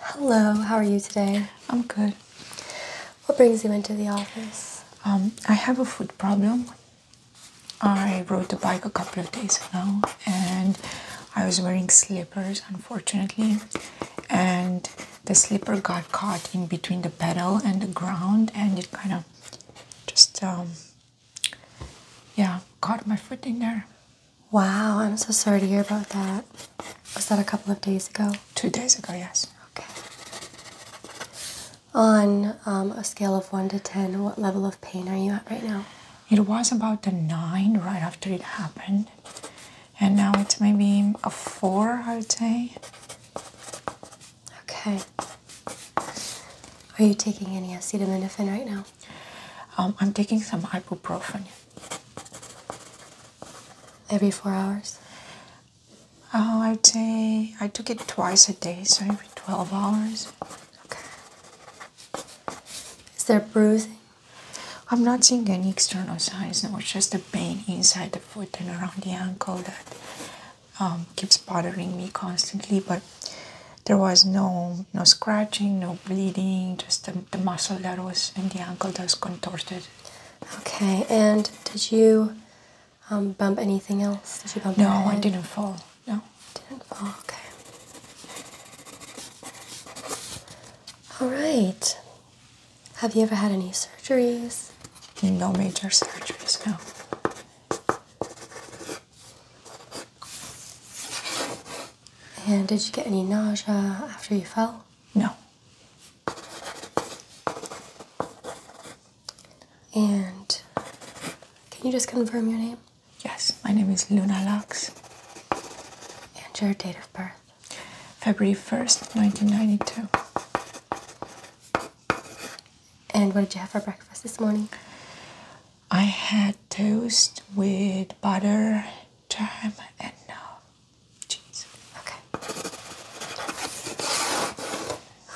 Hello, how are you today? I'm good. What brings you into the office? Um, I have a foot problem. I rode the bike a couple of days ago and I was wearing slippers, unfortunately, and the slipper got caught in between the pedal and the ground, and it kind of just, um, yeah, caught my foot in there. Wow, I'm so sorry to hear about that. Was that a couple of days ago? Two days ago, yes. Okay. On um, a scale of 1 to 10, what level of pain are you at right now? It was about a 9 right after it happened. And now it's maybe a 4, I would say. Okay. Are you taking any acetaminophen right now? Um, I'm taking some ibuprofen. Every four hours? Oh, I'd say I took it twice a day, so every 12 hours. Okay. Is there bruising? I'm not seeing any external signs, no, it's just a pain inside the foot and around the ankle that um, keeps bothering me constantly, but there was no no scratching, no bleeding, just a the muscle that was in the ankle that was contorted. Okay, and did you um, bump anything else? Did you bump No, I didn't fall. No. Didn't fall, okay. Alright. Have you ever had any surgeries? No major surgeries, no. And did you get any nausea after you fell? No. And can you just confirm your name? Yes, my name is Luna Lux. And your date of birth? February 1st, 1992. And what did you have for breakfast this morning? I had toast with butter, jam, and no. Uh, Jeez. Okay.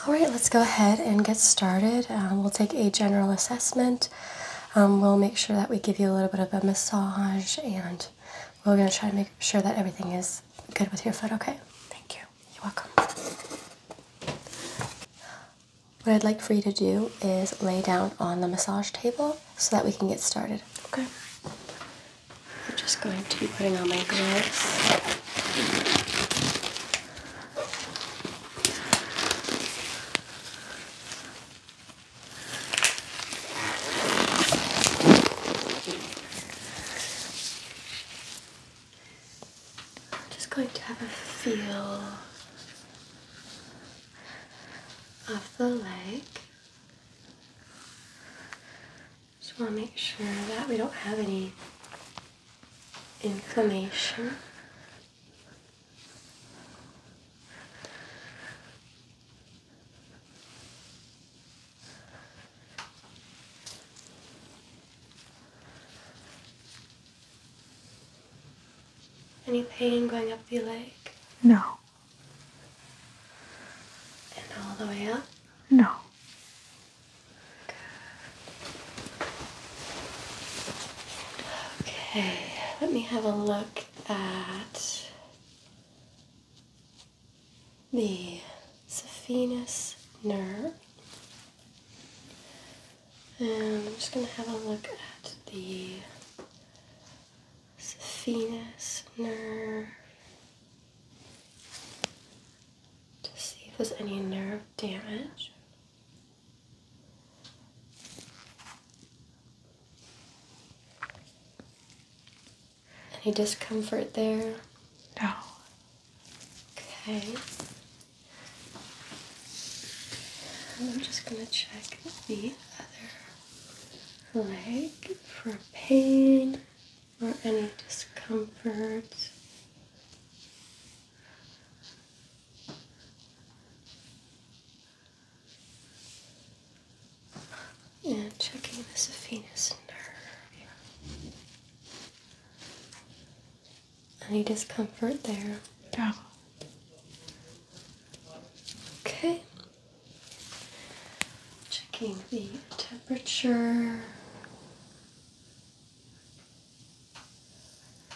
All right, let's go ahead and get started. Um, we'll take a general assessment. Um, we'll make sure that we give you a little bit of a massage, and we're going to try to make sure that everything is good with your foot, okay? Thank you. You're welcome. What I'd like for you to do is lay down on the massage table so that we can get started. Okay. I'm just going to be putting on my gloves. I'm just going to have a feel of the leg. Just want to make sure that we don't have any inflammation. Any pain going up the leg? No. And all the way up? No. Okay, let me have a look at the saphenous nerve. And I'm just going to have a look at the venous nerve to see if there's any nerve damage. Any discomfort there? No. Okay. I'm just going to check the other leg for pain or any discomfort. And checking the saphenous nerve. Any discomfort there? No. Okay, Checking the temperature.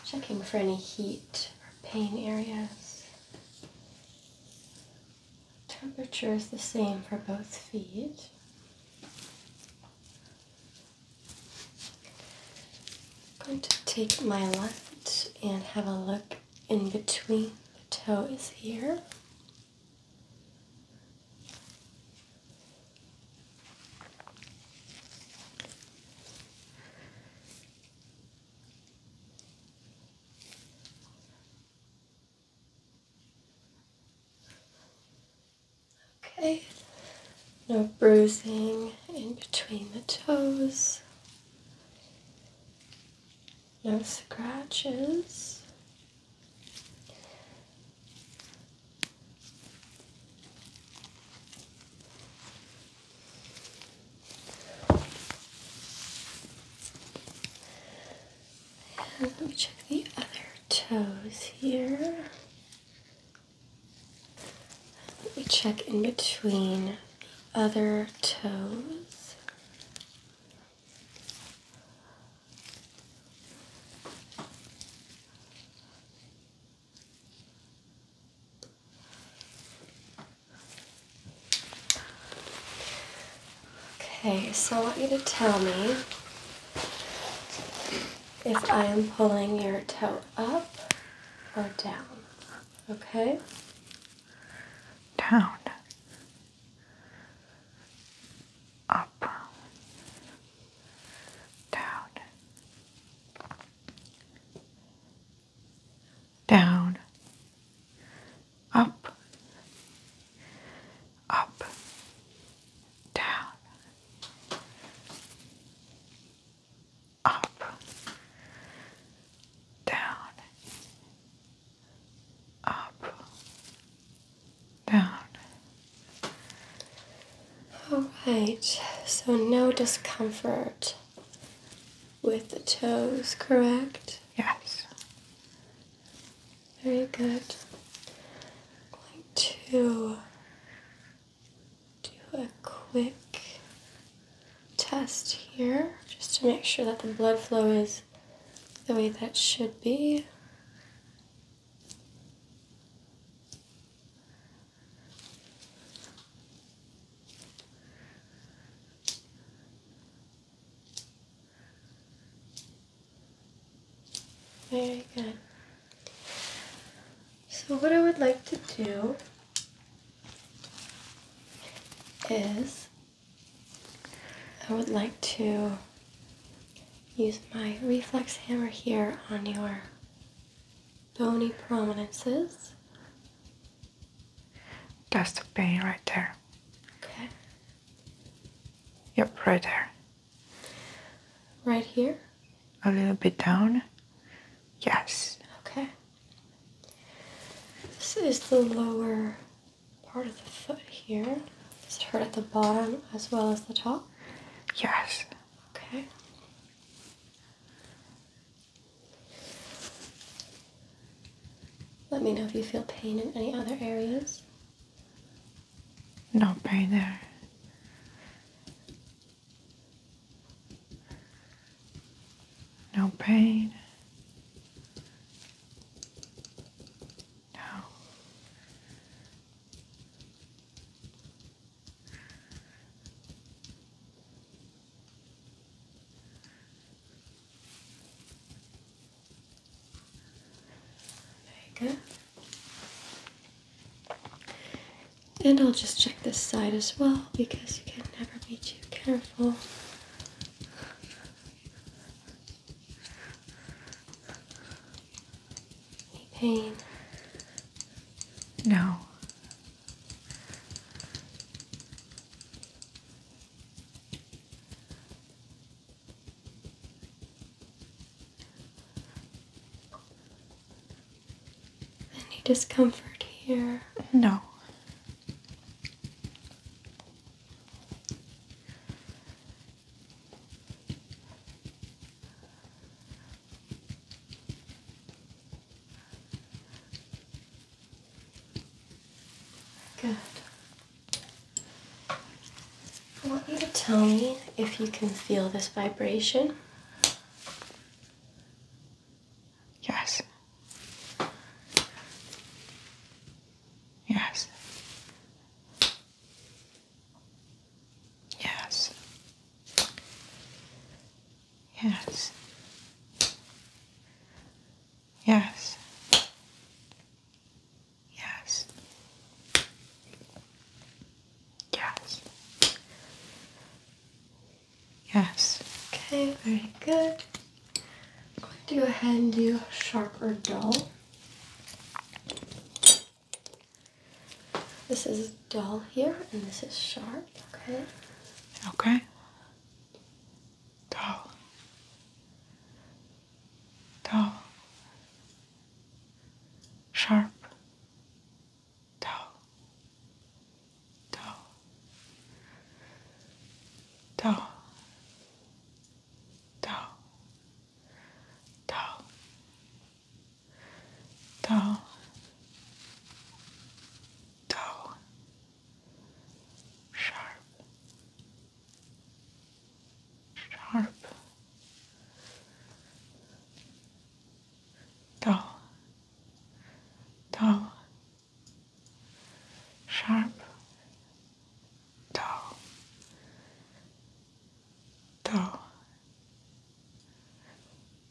Checking for any heat or pain areas. Temperature is the same for both feet. I'm going to take my left and have a look in between the toes here. Okay, no bruising in between the toes no scratches. let me check the other toes here. Let me check in between the other toes. Okay, so I want you to tell me if I am pulling your toe up or down. Okay? Down up, down, down, up, up, down, up, down, up, down. All right, so no discomfort with the toes, correct? Yes. Very good. I'm going to do a quick test here just to make sure that the blood flow is the way that should be. Very good. So what I would like to do is I would like to use my reflex hammer here on your bony prominences. That's the pain right there. Okay. Yep, right there. Right here? A little bit down. Yes. Okay. This is the lower part of the foot here. Does it hurt at the bottom as well as the top? Yes. Okay. Let me know if you feel pain in any other areas. No pain there. No pain. No. Very good. And I'll just check this side as well because you can never be too careful. Any pain? No. Any discomfort here? No. Good. I want you to tell me if you can feel this vibration. Yes. Yes. Yes. Yes. Yes. Yes. Yes. Yes. Okay, very good. I'm going to go ahead and do sharp or dull. This is dull here, and this is sharp, okay? Okay. Dull. Dull. Sharp. Dull. Dull. Dull down, down, down, down, sharp, sharp, down, down sharp, dull, dull,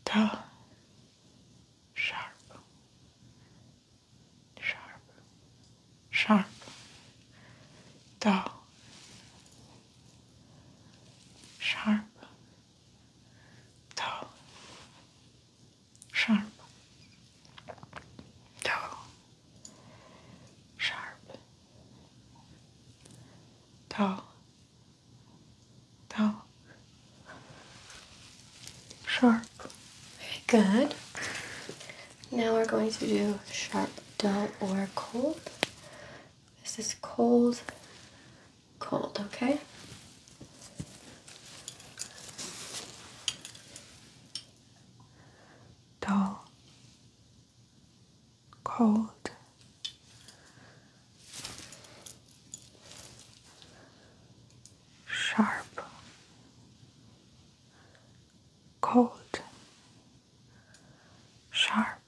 dull, sharp, sharp, sharp, dull. Sharp, dull, sharp, tall, sharp, tall, tall, sharp. Very good. Now we're going to do sharp, dull, or cold. This is cold, cold, okay? dull, cold. Sharp, cold, sharp,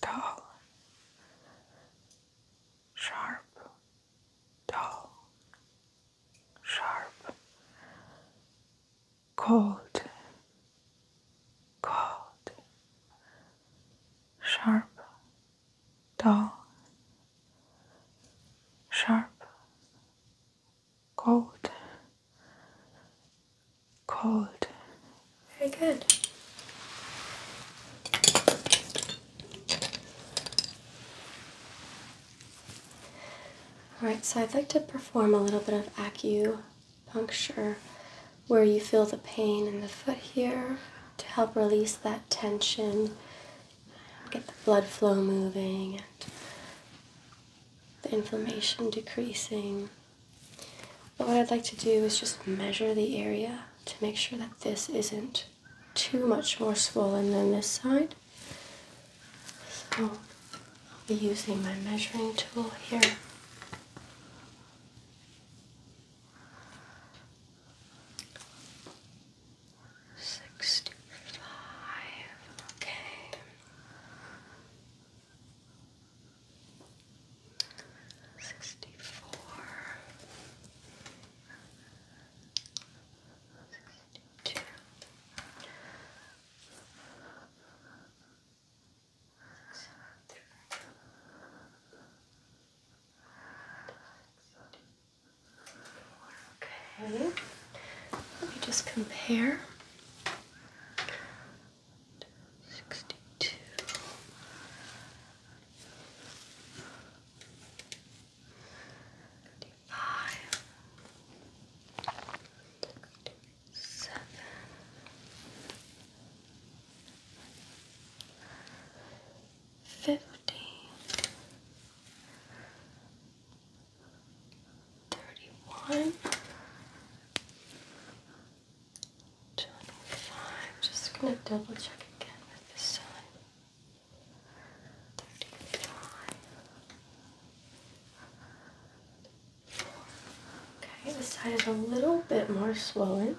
dull, sharp, dull, sharp, cold, cold, sharp, dull, sharp, cold, cold. Very good. Alright, so I'd like to perform a little bit of acupuncture where you feel the pain in the foot here to help release that tension, get the blood flow moving, and the inflammation decreasing. But what I'd like to do is just measure the area to make sure that this isn't too much more swollen than this side. So I'll be using my measuring tool here. Sixty-five. Okay. Sixty-four. Sixty-two. Okay. Let me just compare. Sixty-two five, seven, fifty, thirty-one, twenty-five. Just gonna double check again with this side. Okay, this side is a little bit more swollen.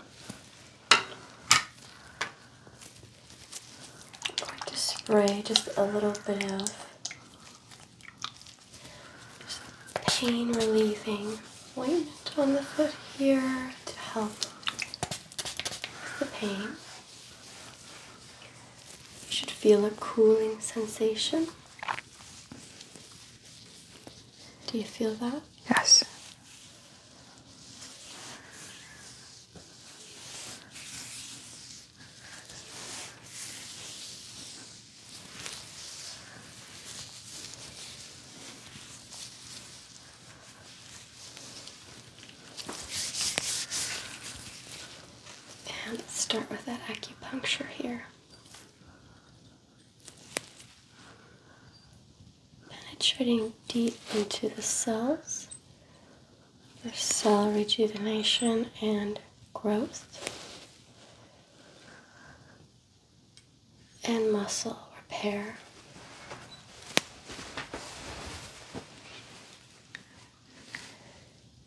I'm going to spray just a little bit of pain relieving ointment on the foot here to help the pain. You should feel a cooling sensation. Do you feel that? Yes. And let's start with that acupuncture here. Penetrating deep into the cells, their cell rejuvenation and growth, and muscle repair.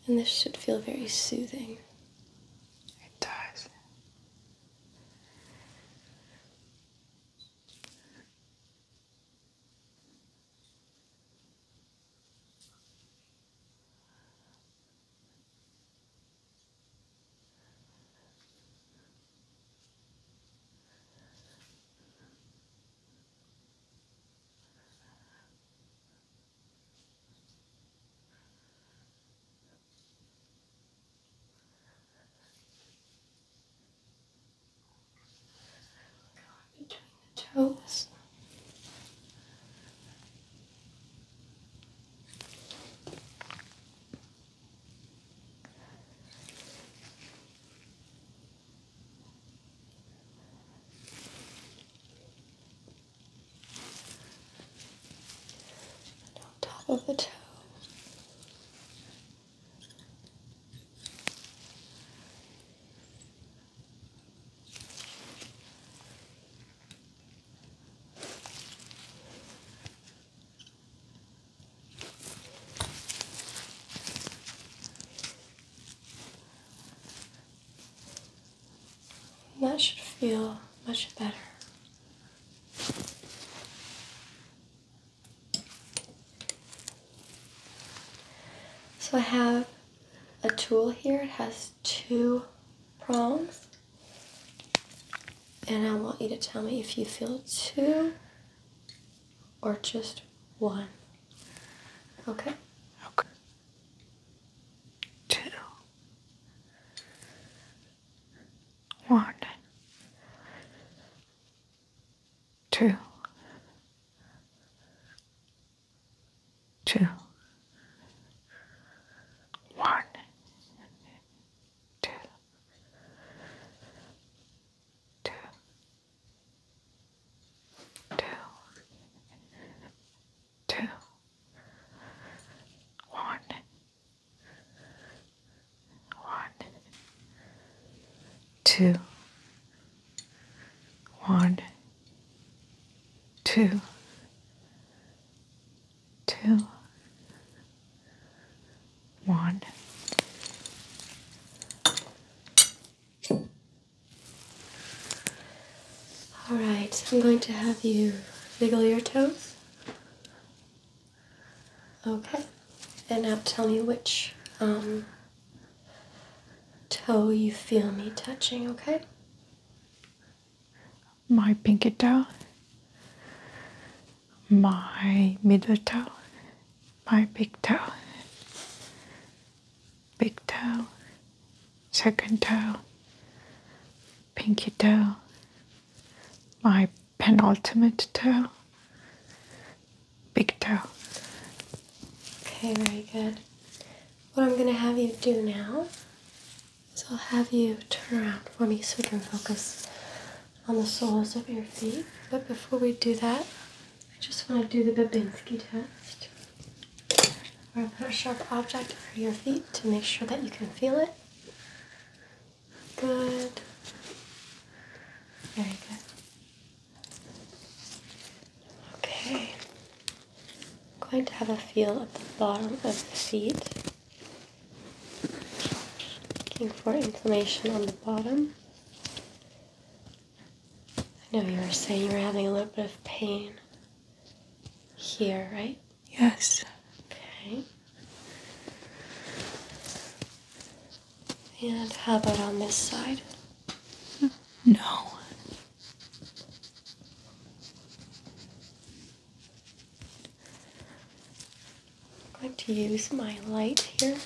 And this should feel very soothing. It does. Between the toes on top of the toe. And that should feel much better. So I have a tool here. It has two prongs. And I want you to tell me if you feel two or just one. Okay? Okay two, one, two, two, one, two, two, two two, one, one, two, one, two, two, one. All right, I'm going to have you wiggle your toes. Okay, and now tell me which um, toe you feel me touching, okay? My pinky toe, my middle toe, my big toe big toe, second toe, pinky toe, my penultimate toe, big toe. Okay, very good. What I'm going to have you do now is I'll have you turn around for me so we can focus on the soles of your feet. But before we do that, I just want to do the Babinski test. We're going to put a sharp object over your feet to make sure that you can feel it. Good. Very good. Okay. I'm going to have a feel at the bottom of the seat, Looking for inflammation on the bottom. I know you were saying you were having a little bit of pain here, right? Yes. Okay. And how about on this side? No. I'm going to use my light here.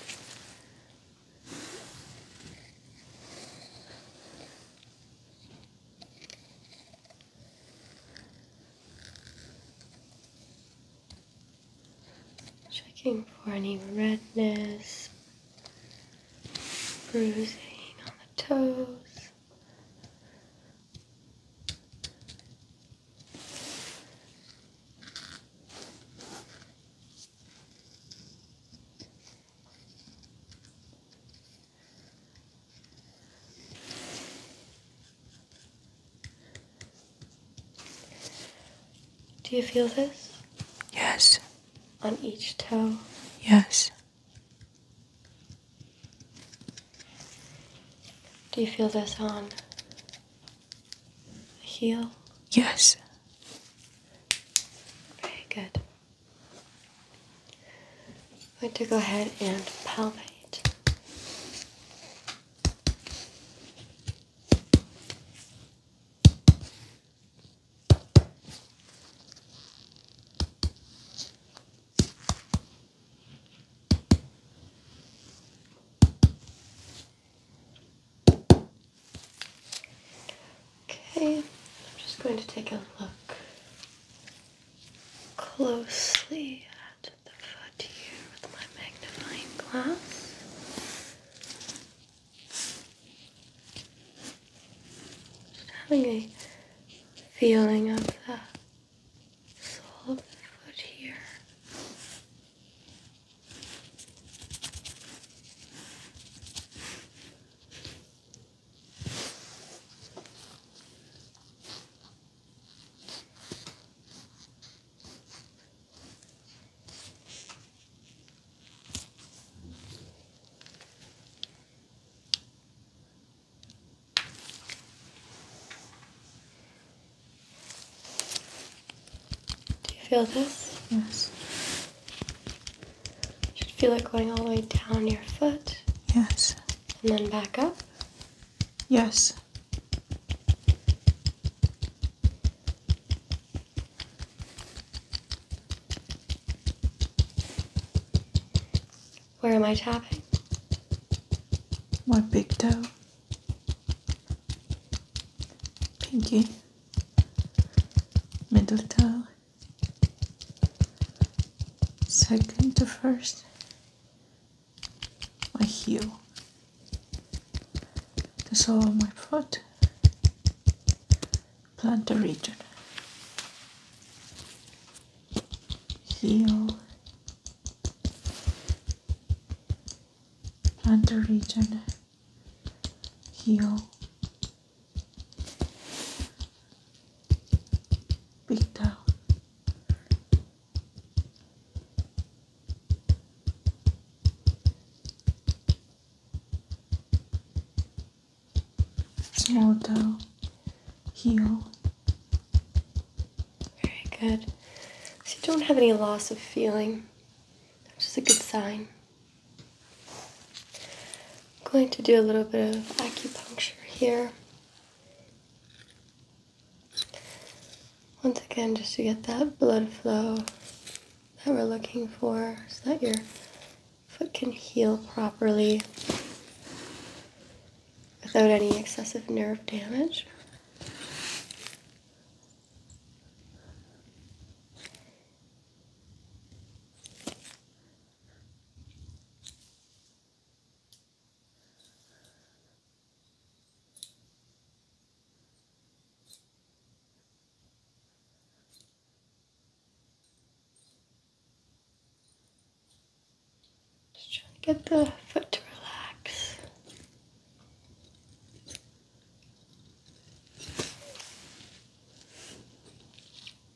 Checking for any redness, bruising on the toes. Do you feel this? Yes. On each toe? Yes. Do you feel this on the heel? Yes. Very good. I'm going to go ahead and palpate. Okay, I'm just going to take a look closely at the foot here with my magnifying glass. Just having a feeling of the sole of the foot here. Do you feel this? Yes should feel like going all the way down your foot. Yes. And then back up. Yes. Where am I tapping? My big toe. Pinky. Middle toe second to first my heel the sole of my foot plantar region heel plantar region heel Beat down. Small down. Heel. Very good. So you don't have any loss of feeling, which is a good sign. I'm going to do a little bit of acupuncture here. Once again, just to get that blood flow that we're looking for so that your foot can heal properly without any excessive nerve damage. Just trying to get the foot to relax.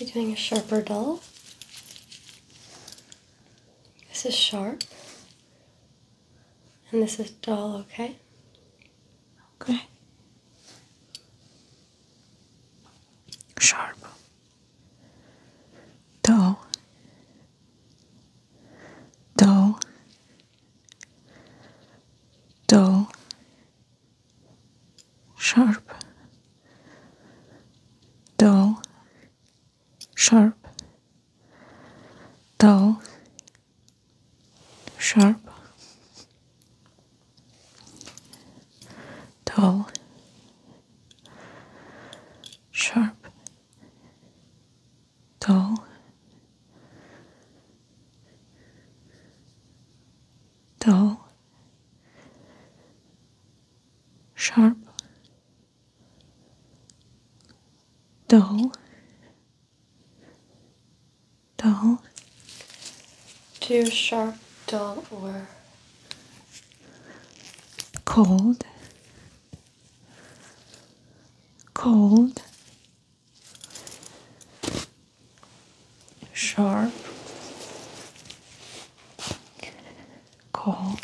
We're doing a sharper dull. This is sharp, and this is dull, okay? Okay. Sharp. Dull. Dull. Dull. Sharp. Dull. Sharp. Dull sharp, tall, sharp, tall, tall, sharp, dull dull. Too sharp, dull, or cold, cold, sharp, cold.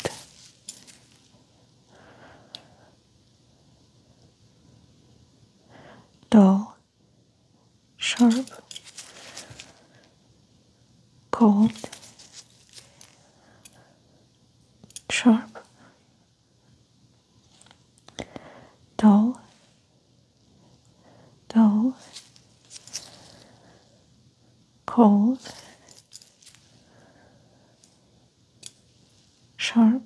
dull sharp, cold, sharp, dull, dull, cold, sharp.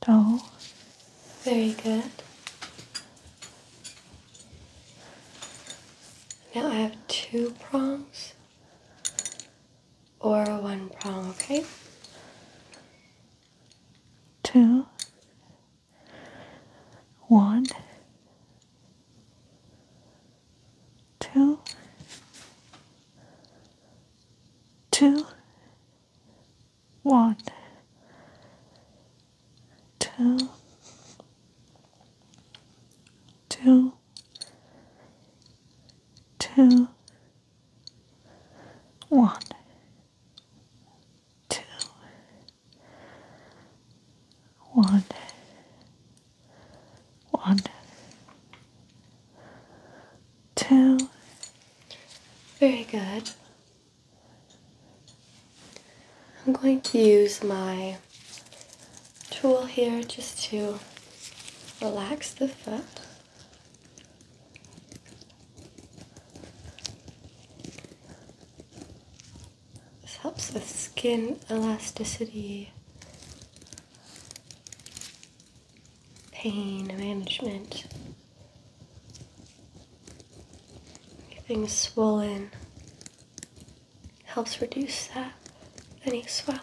Doll. Very good. Now I have two prongs or one prong, okay? Two. One. Two. Two one, two, two, two, one, two, one, one, two. Very good. I'm going to use my tool here just to relax the foot. This helps with skin elasticity, pain management. Getting swollen helps reduce that, any swelling.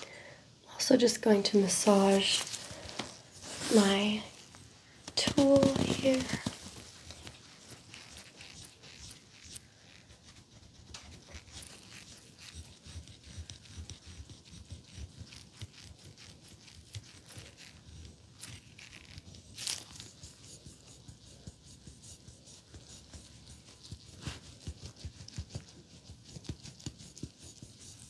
I'm also just going to massage my tool here.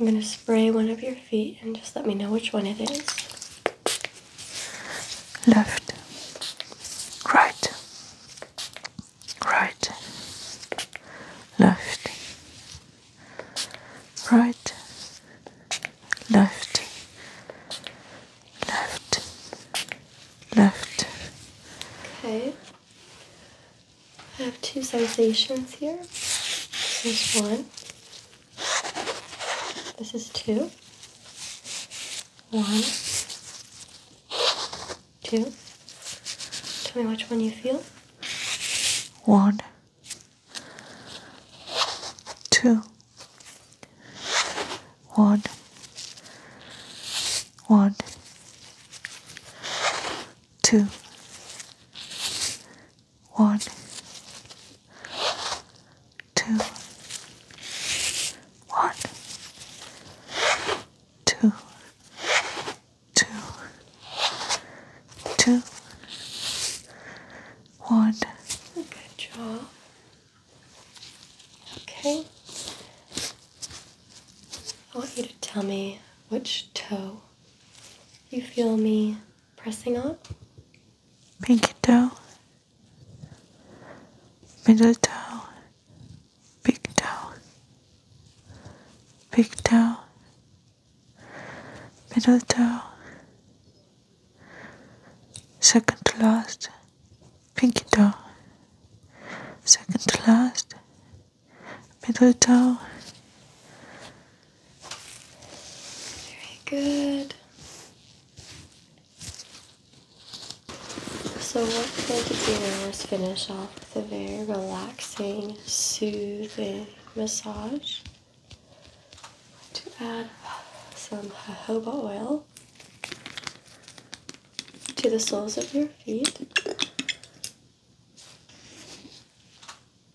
I'm going to spray one of your feet and just let me know which one it is left, right, right, left, right, left, left, left. Okay. I have two sensations here. This one this is two, one, two. Tell me which one you feel. One. One, two, one, two, two, two, one. Good job. Okay. I want you to tell me which toe you feel me pressing up. Pinky toe, middle toe, big toe, big toe, middle toe, second to last, pinky toe, second to last, middle toe, very good. So what we're going to do is finish off with a very relaxing, soothing massage. To add some jojoba oil to the soles of your feet.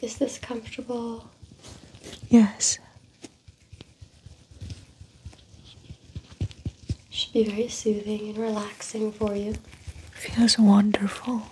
Is this comfortable? Yes. Should be very soothing and relaxing for you. Feels wonderful.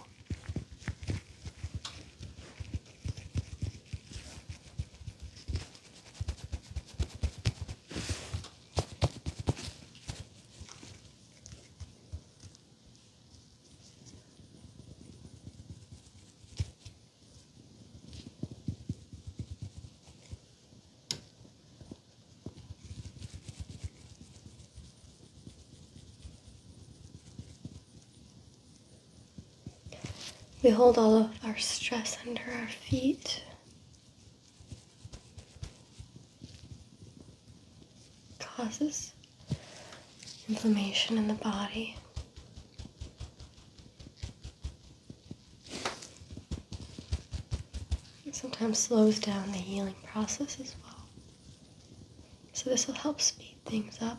We hold all of our stress under our feet. Causes inflammation in the body. sometimes slows down the healing process as well. So, this will help speed things up.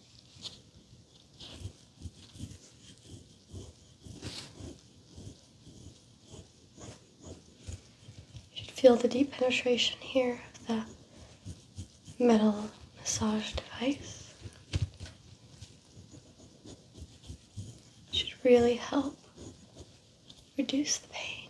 You should feel the deep penetration here of that metal massage device. should really help reduce the pain.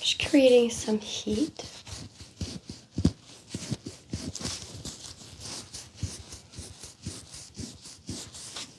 Just creating some heat.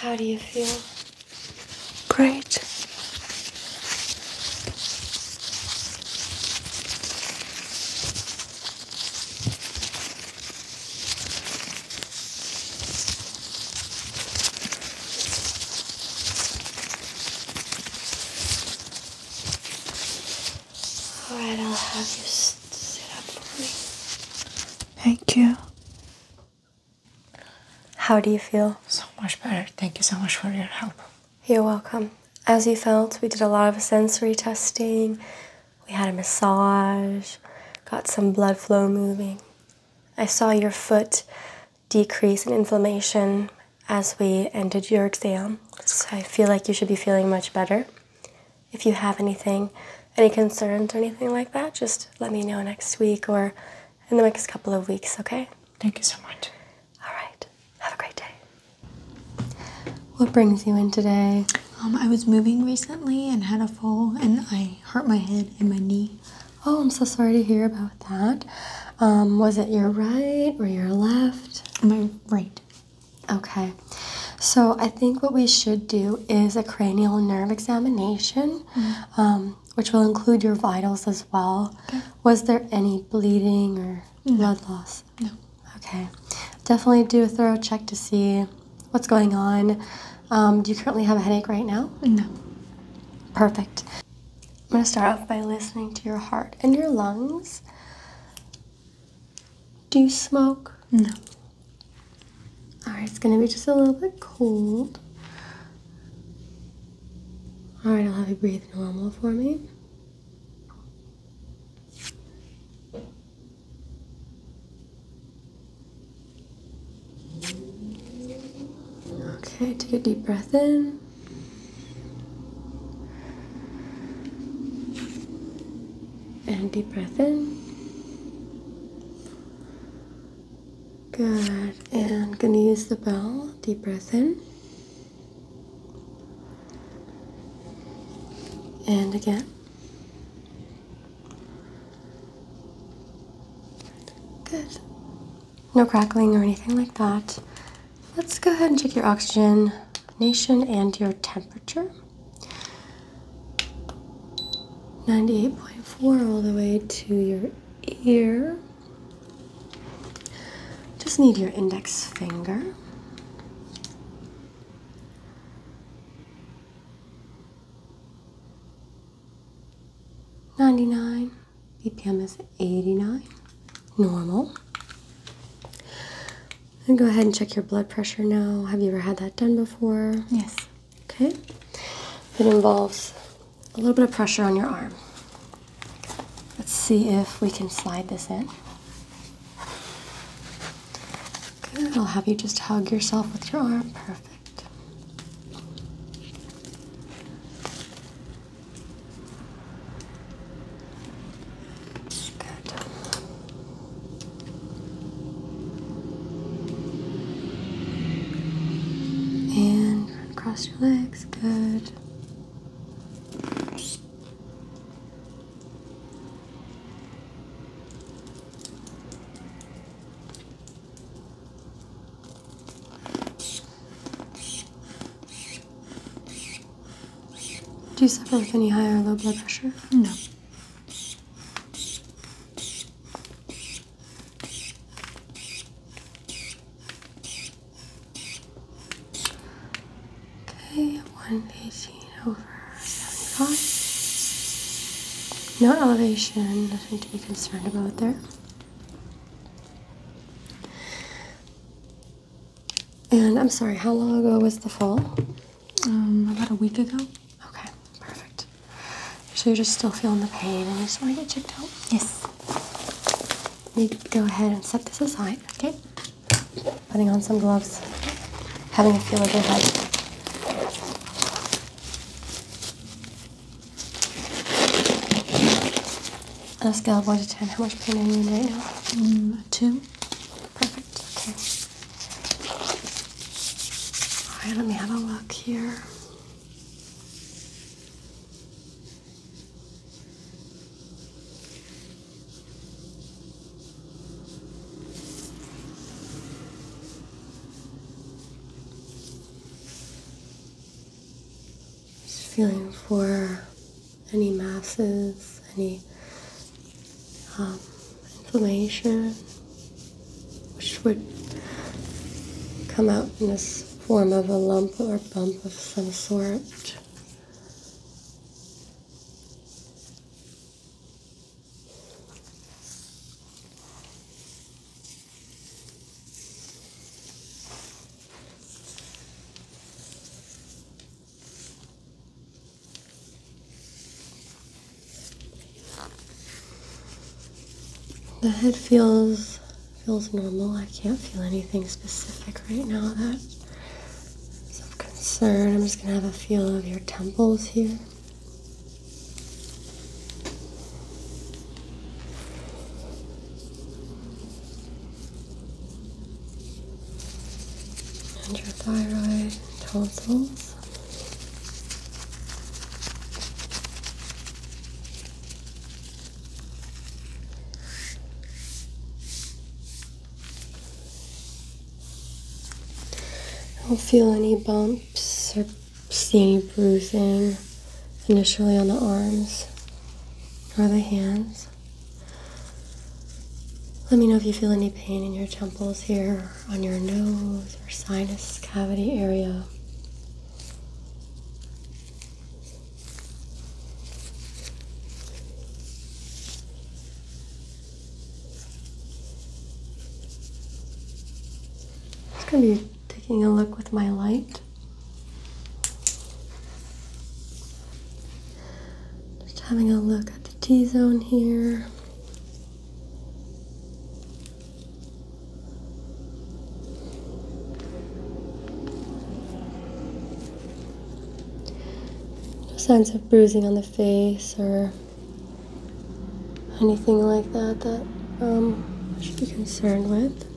How do you feel? Great. Alright, I'll have you sit up for me. Thank you. How do you feel? So much better. Thank you so much for your help. You're welcome. As you felt, we did a lot of sensory testing. We had a massage, got some blood flow moving. I saw your foot decrease in inflammation as we ended your exam. So I feel like you should be feeling much better. If you have anything, any concerns or anything like that, just let me know next week or in the next couple of weeks, okay? Thank you so much. All right. Have a great day. What brings you in today? Um, I was moving recently and had a fall, and I hurt my head and my knee. Oh, I'm so sorry to hear about that. Um, was it your right or your left? My right. Okay. So I think what we should do is a cranial nerve examination, mm-hmm. um, which will include your vitals as well. Okay. Was there any bleeding or blood loss? No. Okay. Definitely do a thorough check to see what's going on. Um, do you currently have a headache right now? No. Perfect. I'm going to start off by listening to your heart and your lungs. Do you smoke? No. Alright, it's going to be just a little bit cold. Alright, I'll have you breathe normal for me. Okay, take a deep breath in. And deep breath in. Good. And gonna use the bell. Deep breath in. And again. Good. No crackling or anything like that. Let's go ahead and check your oxygenation and your temperature. 98.4 all the way to your ear. Just need your index finger. Ninety-nine. BPM is 89, normal. And go ahead and check your blood pressure now. Have you ever had that done before? Yes. Okay. It involves a little bit of pressure on your arm. Let's see if we can slide this in. Good. I'll have you just hug yourself with your arm. Perfect. Good. And cross your legs. Good. Do you suffer with any high or low blood pressure? No. Okay, 118 over 75. No elevation, nothing to be concerned about there. And I'm sorry, how long ago was the fall? Um, about a week ago. Okay, perfect. So you're just still feeling the pain and you just want to get checked out? Yes. You go ahead and set this aside, okay? Putting on some gloves, having a feel of your head. On a scale of 1 to 10, how much pain are you in right now? Mm, 2. Perfect, okay. Alright, let me have a look here. Just feeling for any masses, any um, inflammation, which would come out in this form of a lump or bump of some sort. The head feels feels normal. I can't feel anything specific right now that is of concern. I'm just gonna have a feel of your temples here and your thyroid tonsils. I don't feel any bumps or see any bruising initially on the arms or the hands. Let me know if you feel any pain in your temples here, on your nose, or sinus cavity area. just going to be taking a look with my light just having a look at the T zone here. No signs of bruising on the face or anything like that that um, I should be concerned with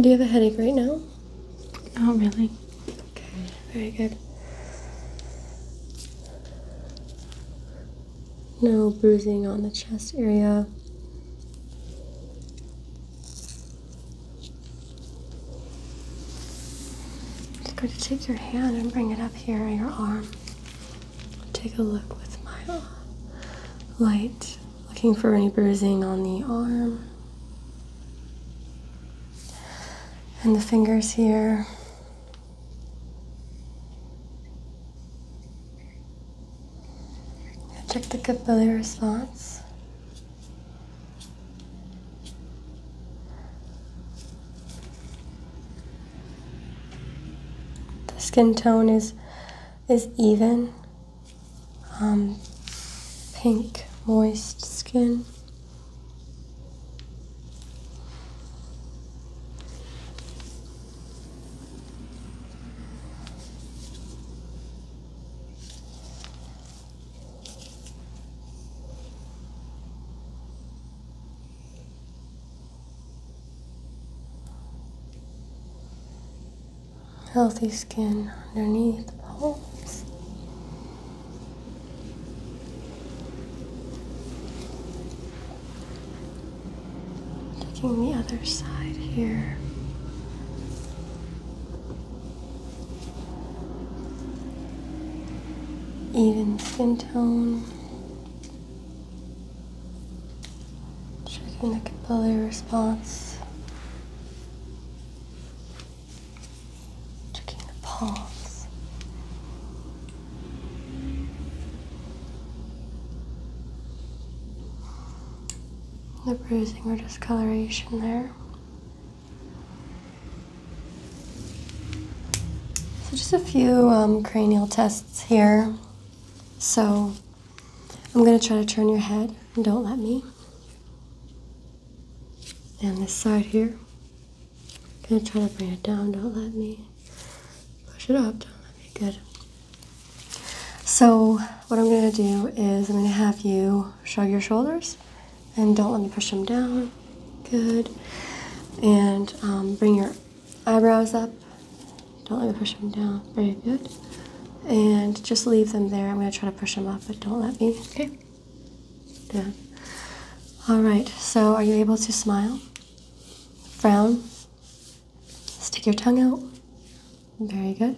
do you have a headache right now? Oh, really. Okay, very good. No bruising on the chest area. Just going to take your hand and bring it up here, your arm. Take a look with my light. Looking for any bruising on the arm and the fingers here. Check the capillary response. The skin tone is is even um, pink, moist skin healthy skin underneath the palms. Taking the other side here. Even skin tone. Checking the capillary response. Checking the pulse. The bruising or discoloration there. So just a few um, cranial tests here. So I'm going to try to turn your head. Don't let me. And this side here. I'm going to try to bring it down. Don't let me. Push it up. Don't let me. Good. So what I'm going to do is I'm going to have you shrug your shoulders. And don't let me push them down. Good. And um, bring your eyebrows up. Don't let me push them down. Very good. And just leave them there. I'm going to try to push them up, but don't let me. Okay. Down. All right. So, are you able to smile? Frown? Stick your tongue out? Very good.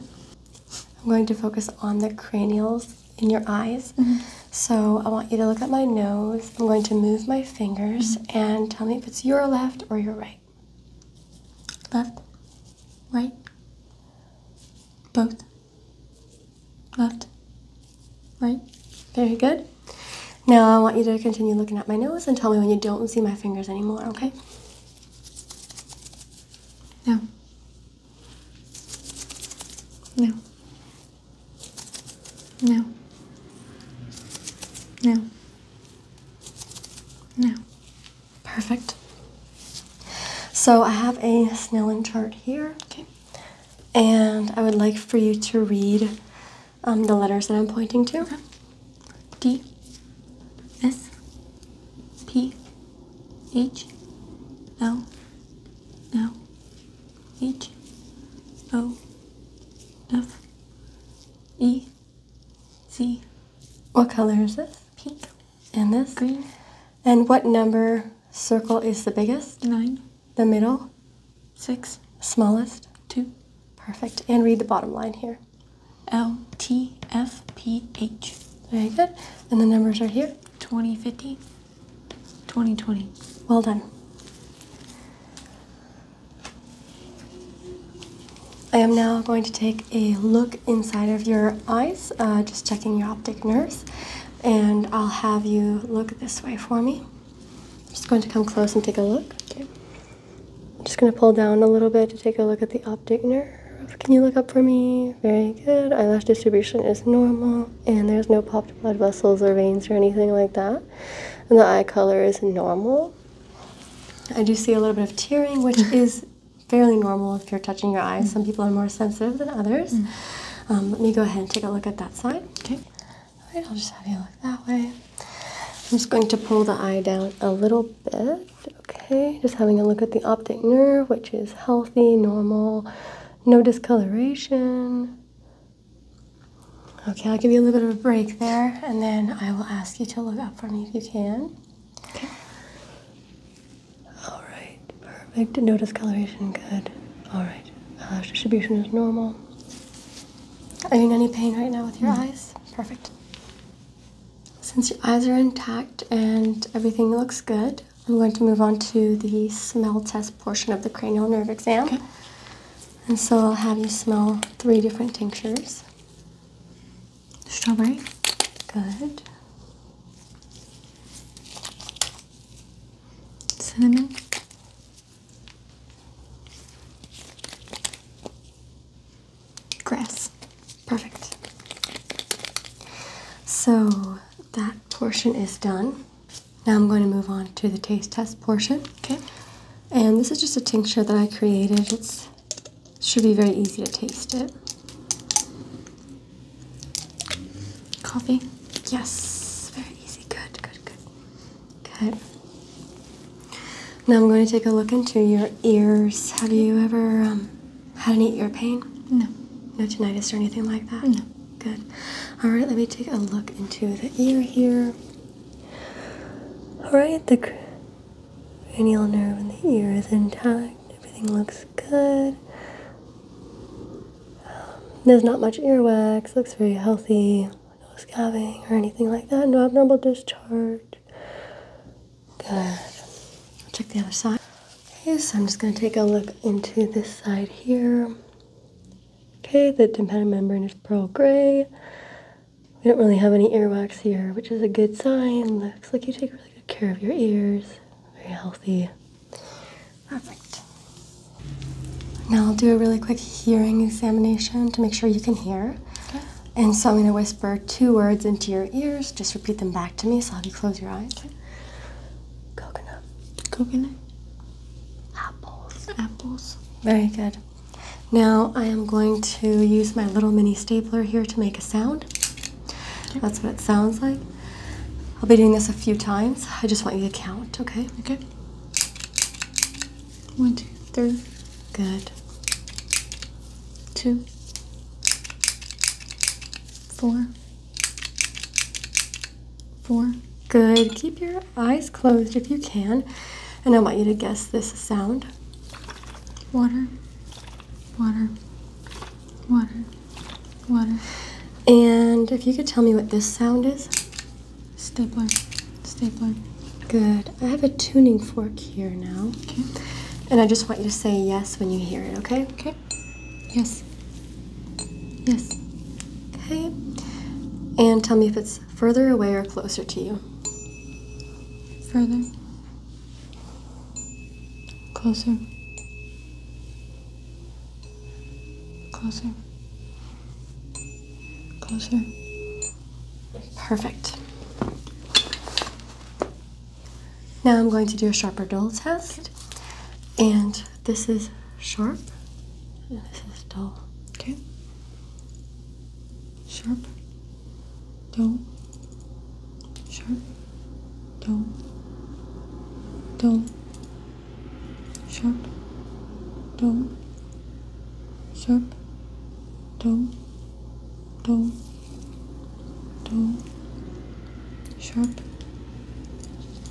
I'm going to focus on the cranials in your eyes. Mm-hmm. So, I want you to look at my nose. I'm going to move my fingers mm-hmm. and tell me if it's your left or your right left, right, both, left, right. Very good. Now I want you to continue looking at my nose and tell me when you don't see my fingers anymore, okay? No. No. No. No. No. Perfect. So I have a Snellen chart here. And I would like for you to read um, the letters that I'm pointing to. Okay. What color is this? pink, and this green. And what number circle is the biggest? Nine. The middle? Six. Smallest? Two. Perfect. And read the bottom line here. L T F P H. Very good. And the numbers are here? 2050, 2020. Well done. I am now going to take a look inside of your eyes, uh, just checking your optic nerves, and I'll have you look this way for me. just going to come close and take a look. I'm just going to pull down a little bit to take a look at the optic nerve. Can you look up for me? Very good. Eyelash distribution is normal, and there's no popped blood vessels or veins or anything like that. And the eye color is normal. I do see a little bit of tearing, which is fairly normal if you're touching your eyes. Some mm. people are more sensitive than others. Mm. Um, let me go ahead and take a look at that side. Okay. All right, I'll just have you look that way. I'm just going to pull the eye down a little bit. Okay, just having a look at the optic nerve, which is healthy, normal, no discoloration. Okay, I'll give you a little bit of a break there, and then I will ask you to look up for me if you can. Okay. All right, perfect. No discoloration, good. All right, eyelash uh, distribution is normal. Are you in any pain right now with your mm. eyes? Perfect. Since your eyes are intact and everything looks good, I'm going to move on to the smell test portion of the cranial nerve exam. Okay. And so I'll have you smell three different tinctures. Strawberry. Good. Cinnamon. Grass. Perfect. So that portion is done. Now I'm going to move on to the taste test portion. Okay. And this is just a tincture that I created. It's should be very easy to taste it. Coffee? Yes, very easy. Good, good, good. Good. Now I'm going to take a look into your ears. Have you ever um, had any ear pain? No. No tinnitus or anything like that? No. Good. All right, let me take a look into the ear here. All right, the cranial nerve and the ear is intact. Everything looks good. Um, there's not much earwax. Looks very healthy. No scabbing or anything like that. No abnormal discharge. Good. I'll check the other side. Okay, so I'm just going to take a look into this side here. Okay, the tympanic membrane is pearl gray. We don't really have any earwax here, which is a good sign. Looks like you take really good care of your ears, very healthy. Perfect. Now I'll do a really quick hearing examination to make sure you can hear. Okay. And so I'm going to whisper two words into your ears. Just repeat them back to me, so I'll have you close your eyes. Coconut. Coconut. Apples. Apples. Very good. Now I am going to use my little mini stapler here to make a sound. That's what it sounds like. I'll be doing this a few times. I just want you to count, okay? Okay. One, two, three. Good. Two. Four. Four. Good. Keep your eyes closed if you can. And I want you to guess this sound. Water. Water. Water. Water. And if you could tell me what this sound is. Stapler. Stapler. Good. I have a tuning fork here now. And I just want you to say yes when you hear it, okay? Okay. Yes. Yes. Okay. And tell me if it's further away or closer to you. Further. Closer. Closer. Closer. Perfect. Now I'm going to do a sharper dull test. And this is sharp, and this is dull. Okay? Sharp, do, sharp, do, do, sharp, do, sharp, do, do, do, sharp,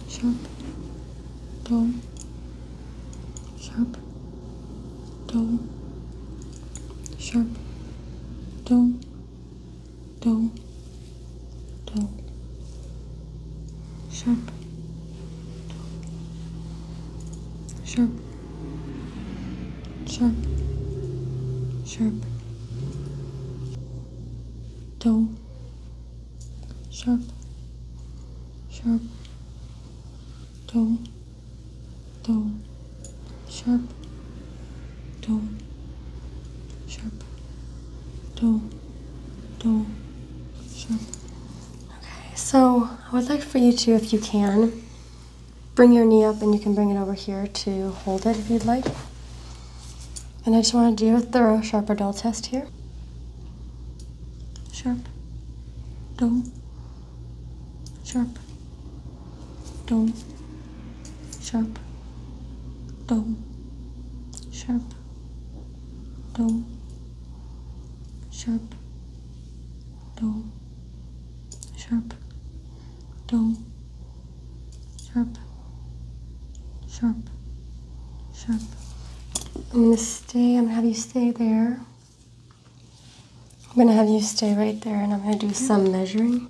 sharp, do, sharp, do, sharp, do, toe, toe, sharp, toe, sharp, sharp, sharp, toe, sharp, sharp, toe, toe sharp tone sharp tone tone sharp okay so i would like for you to if you can bring your knee up and you can bring it over here to hold it if you'd like and i just want to do a thorough sharp or dull test here sharp dull sharp Dome. Sharp. Dome. Sharp. Dome. Sharp. Dome. Sharp. Dome. Sharp. Sharp. Sharp. I'm gonna stay, I'm gonna have you stay there. I'm gonna have you stay right there and I'm gonna do some measuring.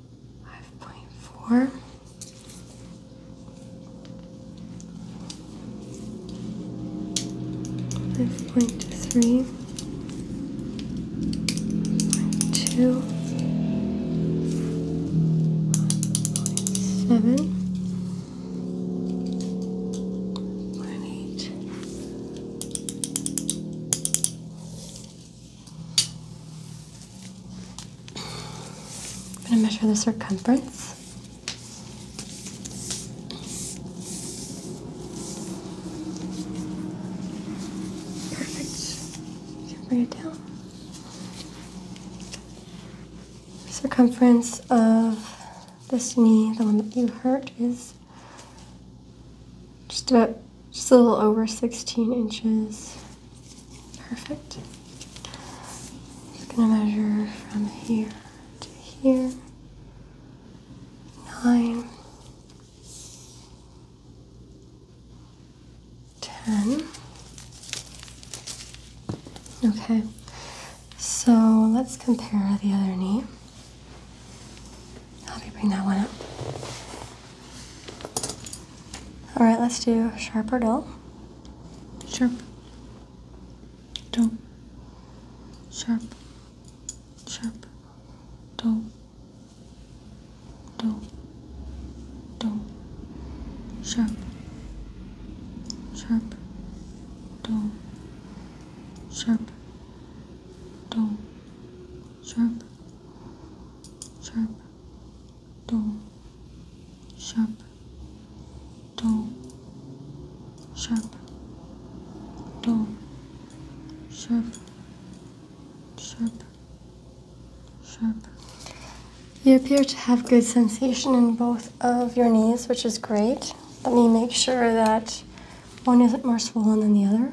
Five point four. Five point three. Point two. Point I'm going to measure the circumference. Perfect. You can bring it down. circumference of this knee, the one that you hurt, is just about just a little over 16 inches. Perfect. Just gonna measure from here to here. Nine, ten. Okay. So let's compare the other knee. i me bring that one up. All right, let's do sharp or dull. Sharp. Dull. Sharp. Sharp. Dull. Dull. Dull. Sharp. Sharp. Dull. Sharp. Dull. Sharp. Sharp toe sharp toe sharp toe sharp sharp sharp you appear to have good sensation in both of your knees which is great let me make sure that one isn't more swollen than the other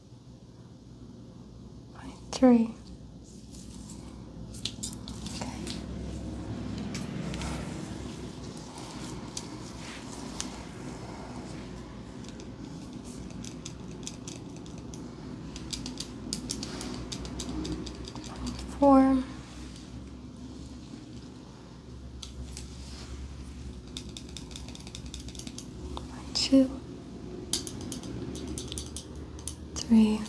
three. Okay. Four two, three,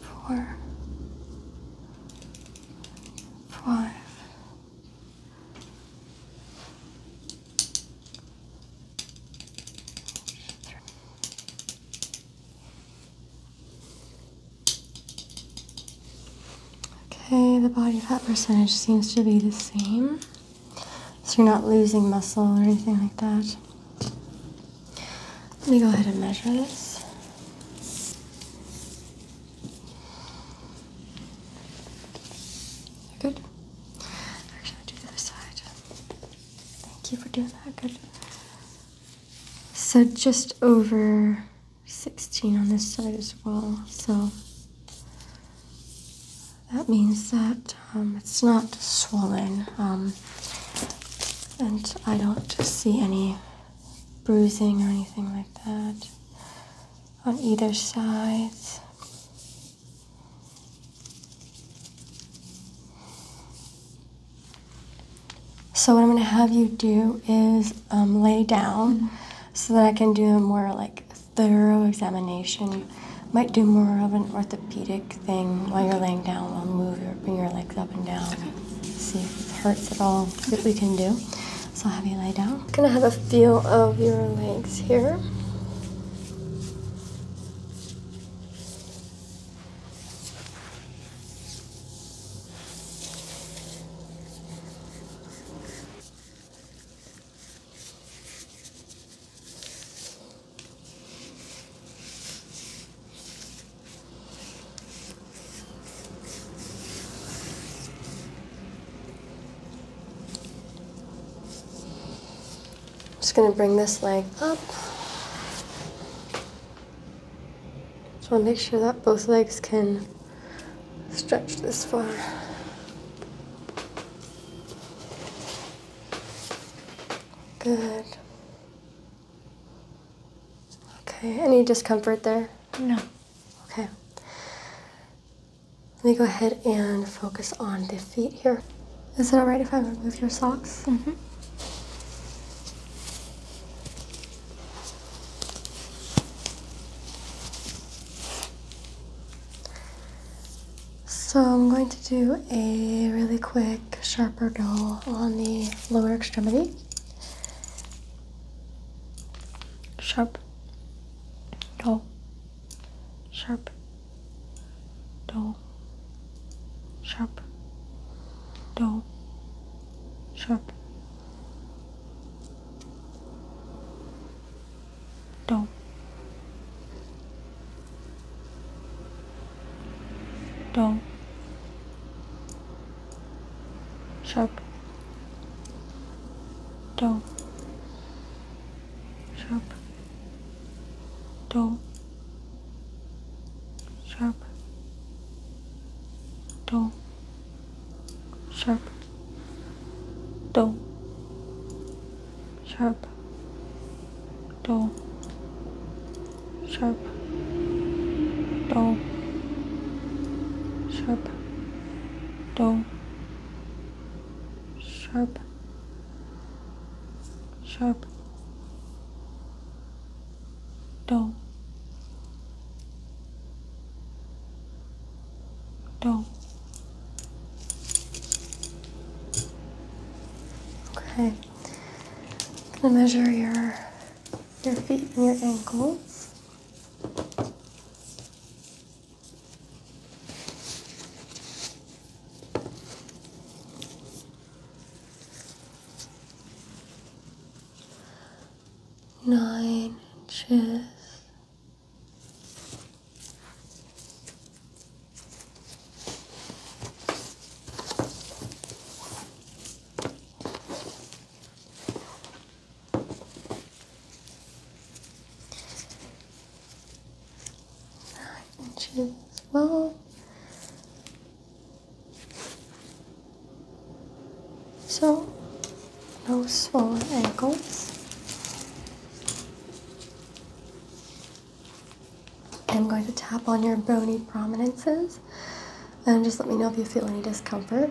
four, five, Okay, the body fat percentage seems to be the same. So you're not losing muscle or anything like that. Let me go ahead and measure this. Good. Actually, i do the other side. Thank you for doing that. Good. So just over 16 on this side as well. So that means that um, it's not swollen um, and I don't see any bruising or anything like that on either side. So what I'm going to have you do is um, lay down mm-hmm. so that I can do a more like thorough examination. Might do more of an orthopedic thing while you're laying down. I'll move your, bring your legs up and down, see if it hurts at all. See we can do. So I'll have you lay down. I'm gonna have a feel of your legs here just going to bring this leg up. Just want to make sure that both legs can stretch this far. Good. Okay, any discomfort there? No. Okay. Let me go ahead and focus on the feet here. Is it alright if I remove your socks? Mm hmm. So I'm going to do a really quick sharper dull on the lower extremity. Sharp, dull, sharp, dull, sharp, dull, sharp. đâu đâu sharp đâu sharp đâu sharp đâu sharp đâu sharp dull sharp dull sharp dull sharp sharp dull dull Okay. I'm gonna measure your your feet and your ankles. Nine inches. Nine inches long. So, no swollen ankles. I'm going to tap on your bony prominences and just let me know if you feel any discomfort.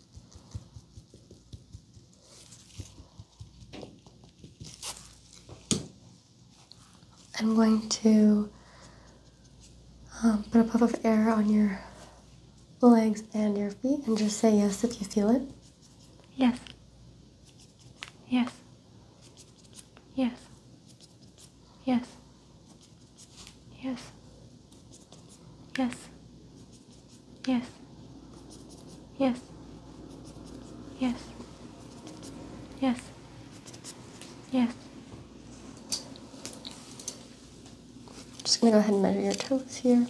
I'm going to um, put a puff of air on your legs and your feet and just say yes if you feel it. Yes. Yes. Yes. Yes. Yes. Yes. Yes. Yes. Yes. Yes. Yes. just going to go ahead and measure your toes here.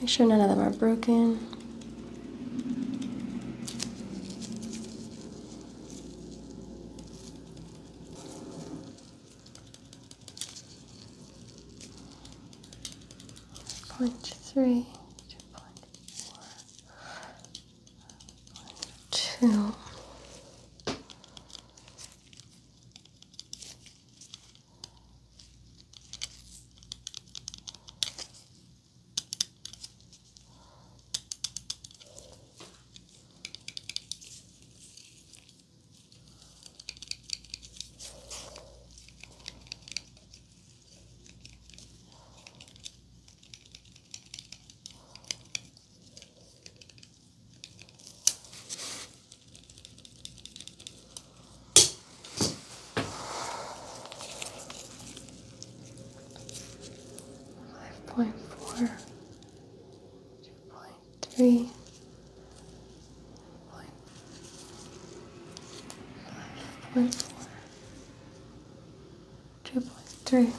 Make sure none of them are broken. Point three, two point four, point two. Five point four, two point three, four, five point four, two point three,